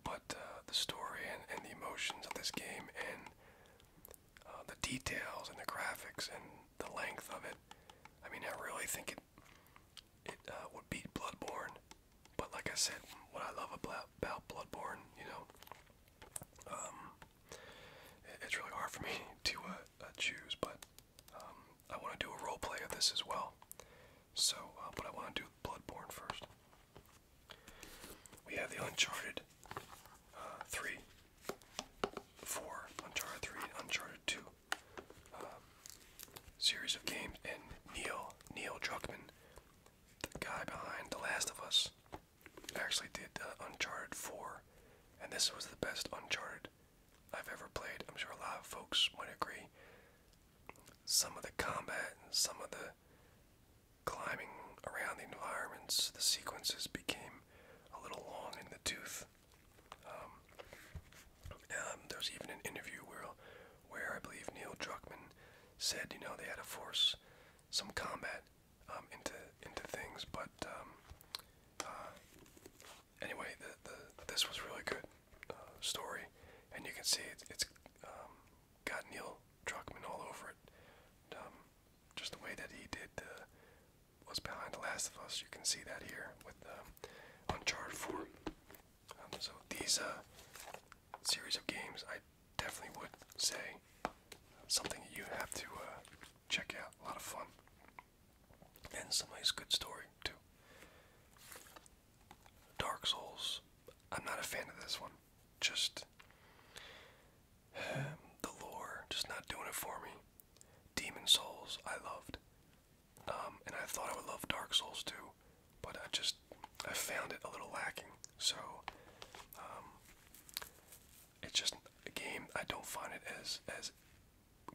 but uh, the story and, and the emotions of this game and uh, the details and the graphics and the length of it. I mean, I really think it it uh, would beat Bloodborne. But like I said, what I love about Bloodborne, you know, um, it's really hard for me [laughs] to uh, choose. But um, I want to do a role play of this as well. So, uh, but I want to do Bloodborne first. We have the Uncharted three 4, Uncharted 3, Uncharted 2 um, series of games, and Neil, Neil Druckmann, the guy behind The Last of Us, actually did Uncharted 4, and this was the best Uncharted I've ever played. I'm sure a lot of folks would agree. Some of the combat, and some of the climbing around the environments, the sequences became a little long in the tooth with. Um, um, there was even an interview where, where I believe Neil Druckmann said, you know, they had to force some combat um, into into things. But uh, anyway, this was really good uh, story, and you can see it, has got Neil Druckmann all over it just the way that he did uh, was behind The Last of Us. You can see that here with uh, Uncharted 4. Um, so these uh, series of games, I definitely would say something that you have to uh, check out. A lot of fun. And some nice good story, too. Dark Souls. I'm not a fan of this one. Just [sighs] the lore, just not doing it for me. Demon Souls I loved, um, and I thought I would love Dark Souls too, but I just I found it a little lacking. So um, it's just a game I don't find it as as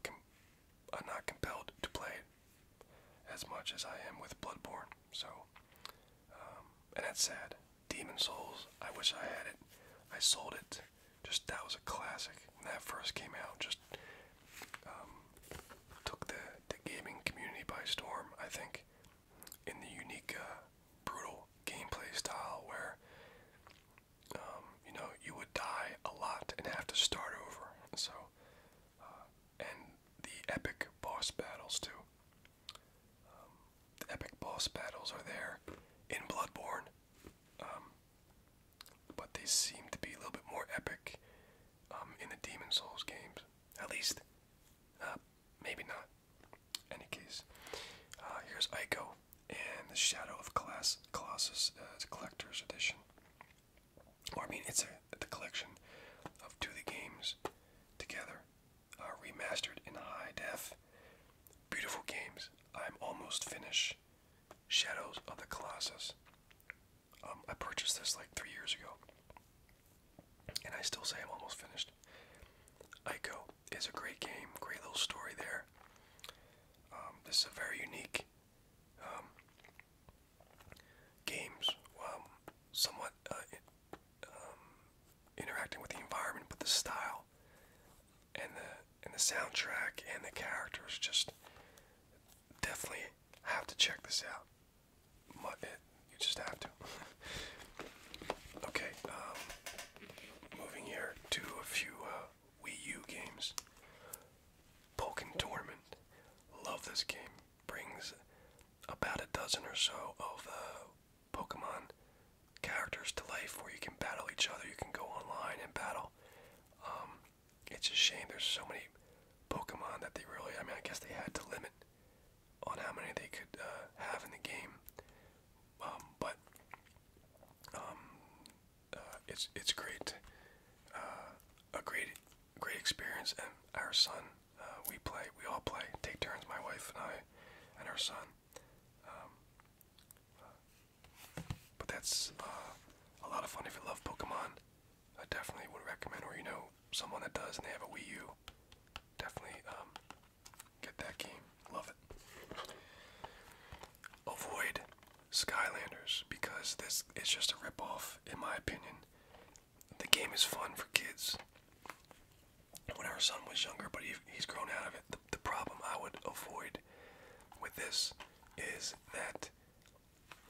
I'm uh, not compelled to play as much as I am with Bloodborne. So um, and that's sad. Demon Souls I wish I had it. I sold it just that was a classic when that first came out. Just um, took the the gaming community by storm. I think in the unique, uh, brutal gameplay style where um, you know you would die a lot and have to start over. So uh, and the epic boss battles too. Um, epic boss battles are there in Bloodborne but they seem to be a little bit more epic um, in the Demon Souls games. At least, uh, maybe not. Any case, uh, here's Ico and the Shadow of Class Colossus uh, Collector's Edition. Or I mean, it's a, the collection of two the games together, remastered in high def. Beautiful games. I'm almost finished. Shadows of the Colossus. Um, I purchased this like three years ago, and I still say I'm almost finished. Ico is a great game, great little story there. Um, this is a very unique um, games, somewhat uh, interacting with the environment, but the style and the and the soundtrack and the characters just definitely have to check this out. you just have to. [laughs] okay, um, moving here to a few uh, Wii U games. Pokemon Torment. Love this game. Brings about a dozen or so of the uh, Pokemon characters to life where you can battle each other. You can go online and battle. Um, it's a shame there's so many Pokemon that they really, I mean, I guess they had to limit on how many they could uh, have in the game. Um, but um, uh, it's it's great, uh, a great great experience. And our son, we play, we all play, take turns, my wife and I, and her son. But that's uh, a lot of fun if you love Pokemon. I definitely would recommend, or you know, someone that does and they have a Wii U. Definitely um, get that game. Love it. Avoid Skylanders because this is just a ripoff, in my opinion. The game is fun for kids. When our son was younger, but he, he's grown out of it the problem I would avoid with this is that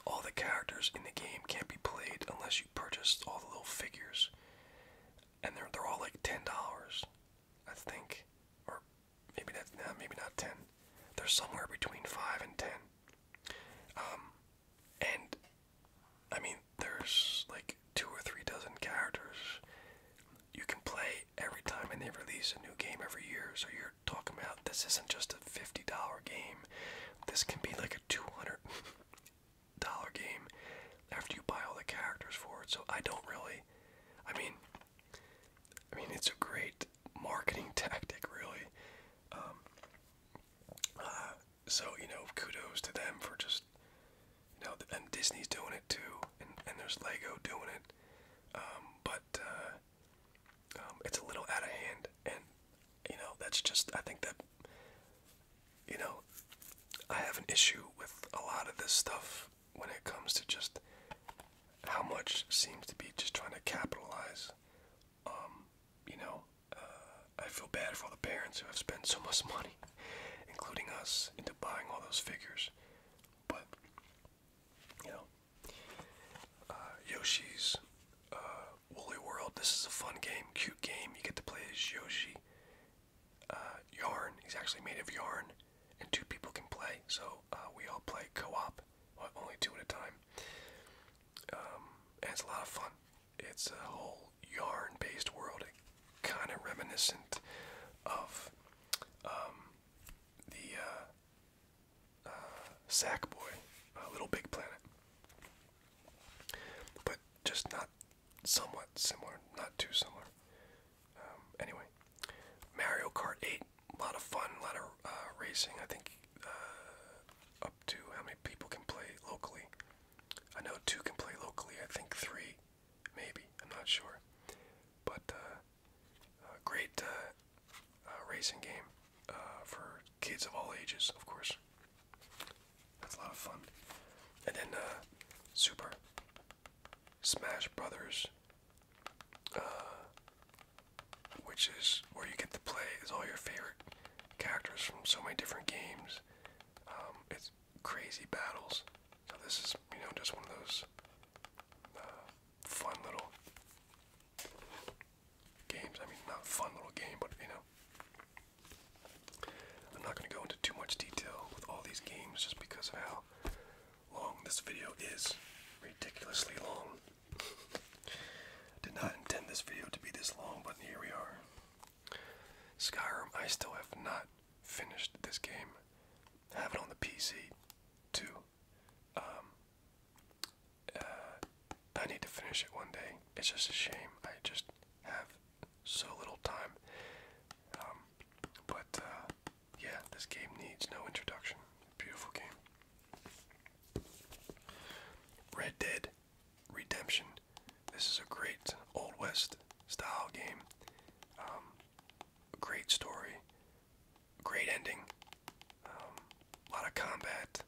all the characters in the game can't be played unless you purchase all the little figures. And they're they're all like ten dollars, I think. Or maybe that's not maybe not ten. They're somewhere between five and ten. Um and I mean there's like two or three dozen characters you can play every time and they release a new game every year. So you're talking about this isn't just a $50 game. This can be like a $200 [laughs] game after you buy all the characters for it. So I don't really I mean I mean it's a great marketing [laughs] tactic really. Um uh, so you know kudos to them for just you know and Disney's doing it too and, there's Lego doing it. Um, but uh, um, it's a little out of hand, and you know that's just I think that you know I have an issue with a lot of this stuff when it comes to just how much seems to be just trying to capitalize. Um, you know, uh, I feel bad for the parents who have spent so much [laughs] money, including us, into buying all those figures. But you know. Uh, Yoshi's uh, Woolly World. This is a fun game, cute game. You get to play as Yoshi. Uh, yarn. He's actually made of yarn, and two people can play. So we all play co-op, only two at a time. Um, and it's a lot of fun. It's a whole yarn-based world, kind of reminiscent of um, the uh, Sack uh, Boy, uh, Little Big Planet, but just not somewhat similar, not too similar. Um, anyway, Mario Kart 8, a lot of fun, a lot of uh, racing. I think up to how many people can play locally. I know two can play locally. I think three, maybe. I'm not sure. But uh, great uh, racing game uh, for kids of all ages, of course. That's a lot of fun. And then uh, Super Smash Brothers, which is where you get to play is all your favorite characters from so many different games. Um, it's crazy battles. So this is you know just one of those fun little games. I mean, not fun little game, but you know. I'm not going to go into too much detail with all these games just because of how long this video is. Ridiculously long. Did not intend this video to be this long, but here we are. Skyrim, I still have not finished this game. I have it on the PC, too. Um, uh, I need to finish it one day. It's just a shame. I just have so little time. Um, but uh, yeah, this game needs no introduction. Beautiful game. Red Dead Redemption. This is a great Old West style game. Um, great story. Great ending. a um, lot of combat,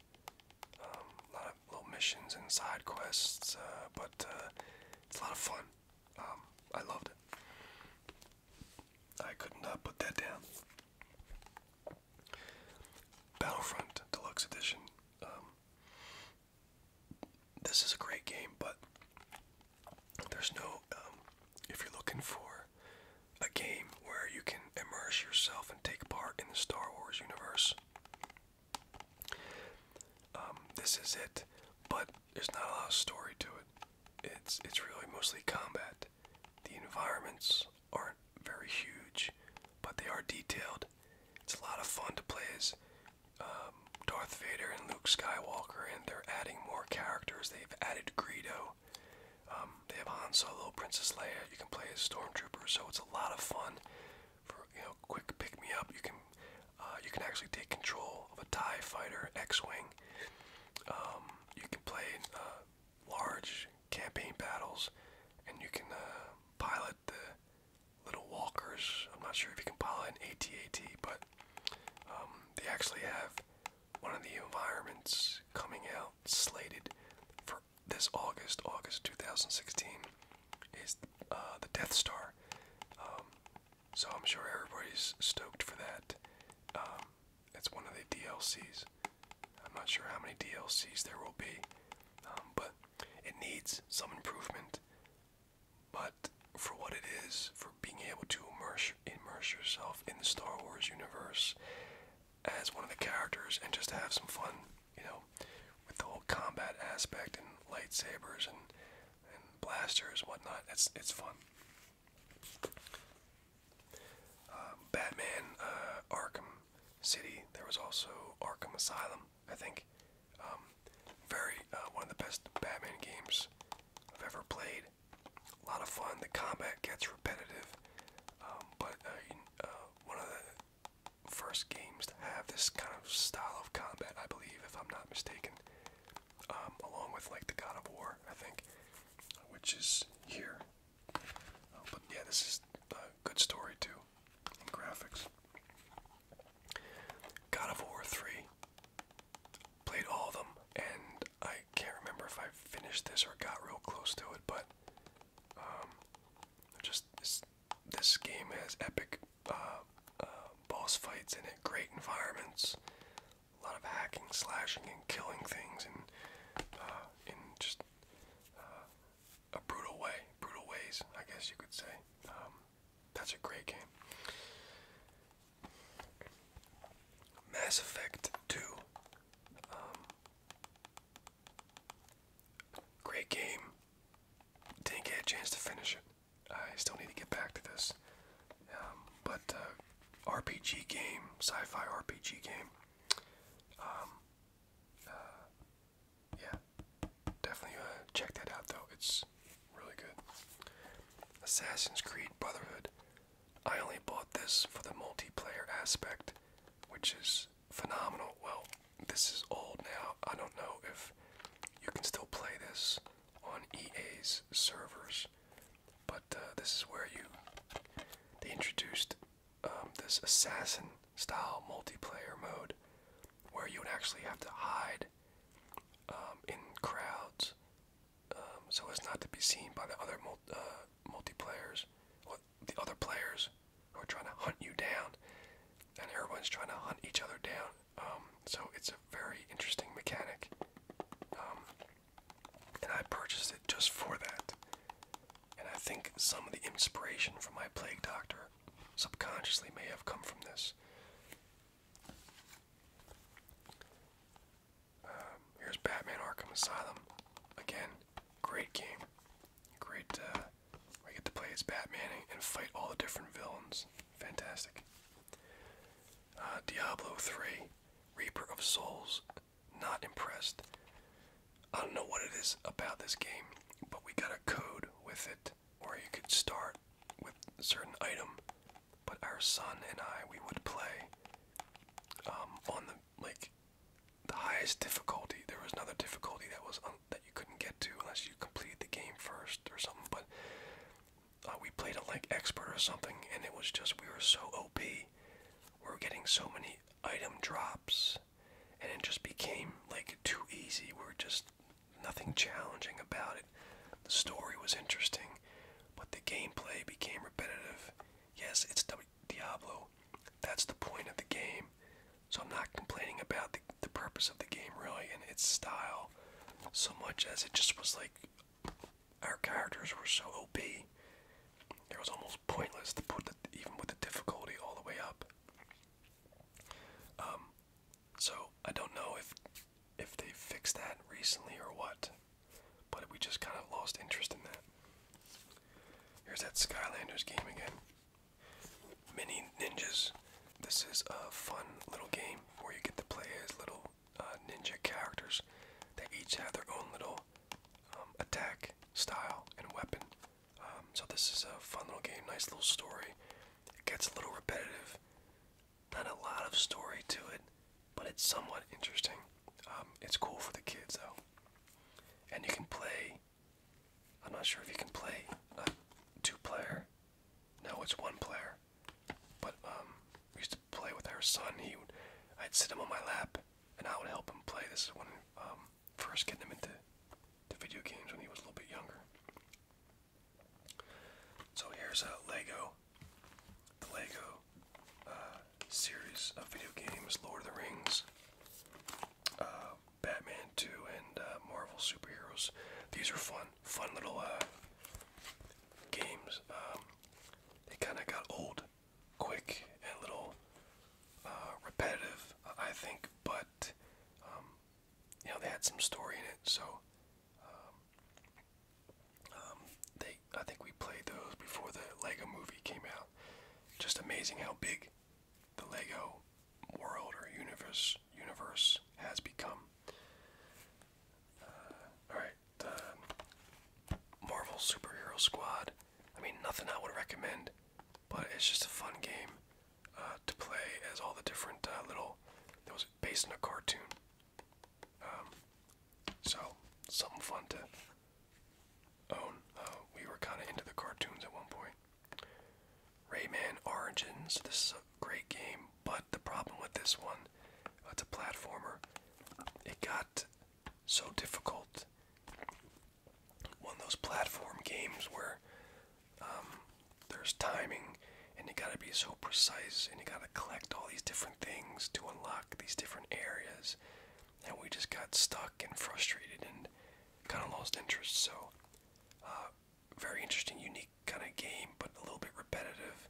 a um, lot of little missions and side quests, uh, but uh, it's a lot of fun. Um, I loved it. I could not put that down. Battlefront Deluxe Edition. this is a great game, but there's no, um, if you're looking for a game where you can immerse yourself and take part in the Star Wars universe, um, this is it. But there's not a lot of story to it. It's it's really mostly combat. The environments aren't very huge, but they are detailed. It's a lot of fun to play as um, Darth Vader and Luke Skywalker, and they're adding more characters. They've added Greedo. Um, they have Han Solo, Princess Leia. You can play as Stormtrooper, so it's a lot of fun. For you quick pick me up. You can uh, you can actually take control of a Tie Fighter, X-wing. Um, you can play uh, large campaign battles, and you can uh, pilot the little walkers. I'm not sure if you can pilot an AT-AT, but um, they actually have one of the environments coming out slated for this August, August 2016, is uh, the Death Star. Um, so I'm sure everybody's stoked for that. Um, it's one of the DLCs. I'm not sure how many DLCs there will be, um, but it needs some improvement. But for what it is, for being able to immerse, immerse yourself in the Star Wars universe as one of the characters and just have some fun, you know, with the whole combat aspect and lightsabers and, and blasters whatnot. It's, it's fun. Um, Batman, uh, Arkham City. There was also Arkham Asylum, I think. Um, very uh, one of the best Batman games I've ever played a lot of fun. The combat gets repetitive, um, but uh, uh, one of the first games to have this kind of style of combat, I believe, if I'm not mistaken, um, along with like the God of War, I think, which is here. Uh, but yeah, this is a good story too, and graphics. God of War 3 played all of them, and I can't remember if I finished this or got real close to it, but um, just this, game has epic uh, uh, boss fights in it, great environments, a lot of hacking, slashing, and killing things, and uh, in just a brutal way, brutal ways, I guess you could say. Um, that's a great game. Mass Effect 2. Um, great game. Didn't get a chance to finish it. I still need to get back to this. Um, but uh, RPG game, sci-fi RPG game. Um, uh, yeah, definitely uh, check that out though. It's really good. Assassin's Creed Brotherhood. I only bought this for the multiplayer aspect, which is phenomenal. Well, this is old now. I don't know if you can still play this on EA's servers, but uh, this is where you they introduced um, this assassin style multiplayer mode where you would actually have to hide um, in crowds um, so as not to be seen by the other mul uh, multiplayers, or the other players who are trying to hunt you down, and everyone's trying to hunt each other down. Um, so it's a very interesting mechanic, um, and I purchased it just for that. And I think some of the inspiration from my Plague Doctor subconsciously may have come from this. Um, here's Batman Arkham Asylum. Again, great game. Great, uh, I get to play as Batman and, fight all the different villains. Fantastic. Uh, Diablo III, Reaper of Souls. Not impressed. I don't know what it is about this game, but we got a code with it or you could start with a certain item but our son and I we would play um, on the like the highest difficulty. There was another difficulty that was un that you couldn't get to unless you completed the game first or something. But uh, we played it like expert or something, and it was just we were so OP. We were getting so many item drops, and it just became like too easy. We were just nothing challenging about it. The story was interesting but the gameplay became repetitive. Yes, it's Diablo. That's the point of the game. So I'm not complaining about the, the purpose of the game really and its style so much as it just was like our characters were so OP. It was almost pointless to put the, even with the difficulty all the way up. Um, so I don't know if if they fixed that recently or what. But we just kind of lost interest in that. Here's that Skylanders game again. Mini Ninjas. This is a fun little game where you get to play as little uh, ninja characters. They each have their own little um, attack style and weapon. Um, so this is a fun little game, nice little story. It gets a little repetitive not a lot of story to it, but it's somewhat interesting. Um, it's cool for the kids though, and you can play. I'm not sure if you can play two-player. No, it's one player. But um, we used to play with our son. He, would, I'd sit him on my lap, and I would help him play. This is when um, first getting him into to video games when he was a little bit younger. So here's a Lego the Lego uh, series of video games, Lord of the Rings, uh, Batman 2, and uh, Marvel Superheroes. These are fun, fun little games. Um, they kind of got old quick and little repetitive, I think, but um, you know, they had some story in it, so um, um, they, I think we played those before the Lego movie came out. Just amazing how big the Lego world or universe universe has become. Uh, Alright, the Marvel Superhero Squad. I mean, nothing I would recommend, but it's just a fun game uh, to play as all the different uh, little. those based in a cartoon. Um, so something fun to own. Uh, we were kind of into the cartoons at one point. Rayman Origins. This is a great game, but the problem with this one, uh, it's a platformer. It got so difficult. One of those platform games where um, there's timing, and you gotta be so precise, and you gotta to collect all these different things to unlock these different areas. And we just got stuck and frustrated and kind of lost interest. So, uh, very interesting, unique kind of game, but a little bit repetitive.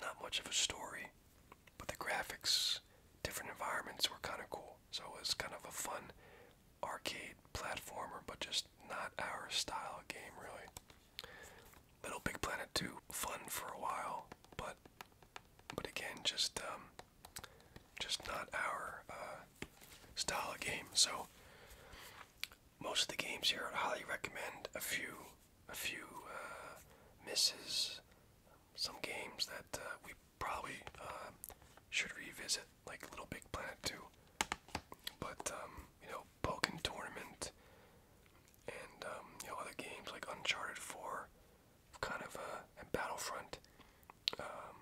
Not much of a story, but the graphics, different environments were kind of cool. So it was kind of a fun arcade platformer, but just not our style game, really. Little Big Planet 2, fun for a while, but but again, just um, just not our uh, style of game. So most of the games here, I highly recommend. A few, a few uh, misses. Some games that uh, we probably uh, should revisit, like Little Big Planet 2. But um, you know, Pokken Tournament and um, you know other games like Uncharted 4, kind of uh, and Battlefront, um,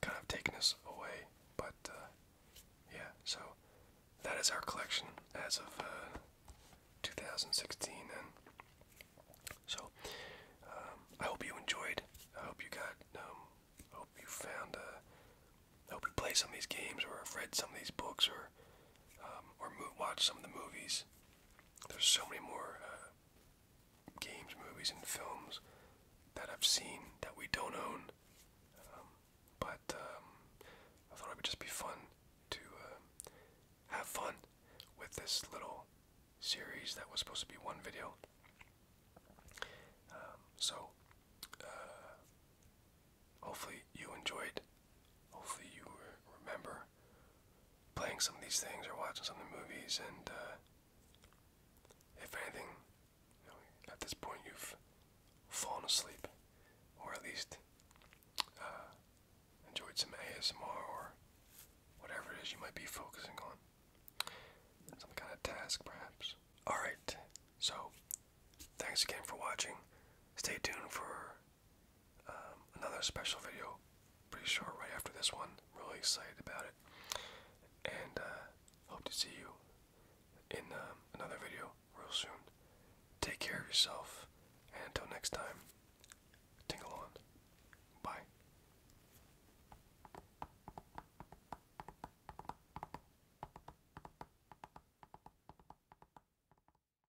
kind of taken us away. But uh, yeah, so that is our collection as of uh, 2016. And so um, I hope you enjoyed. I hope you got. I hope you found. Uh, I hope you played some of these games or read some of these books or or watched some of the movies. There's so many more uh, games, movies, and films that I've seen that we don't own. Um, but um, I thought it would just be fun to uh, have fun with this little series that was supposed to be one video. Um, so, uh, hopefully, you enjoyed hopefully you remember playing some of these things or watching some of the movies. And uh, if anything, at this point you've fallen asleep, or at least uh, enjoyed some ASMR or whatever it is you might be focusing on. Some kind of task, perhaps. Alright, so thanks again for watching. Stay tuned for um, another special video, pretty short, right after this one. Really excited about it, and uh, hope to see you in um, another video real soon. Take care of yourself, and until next time, tingle on. Bye.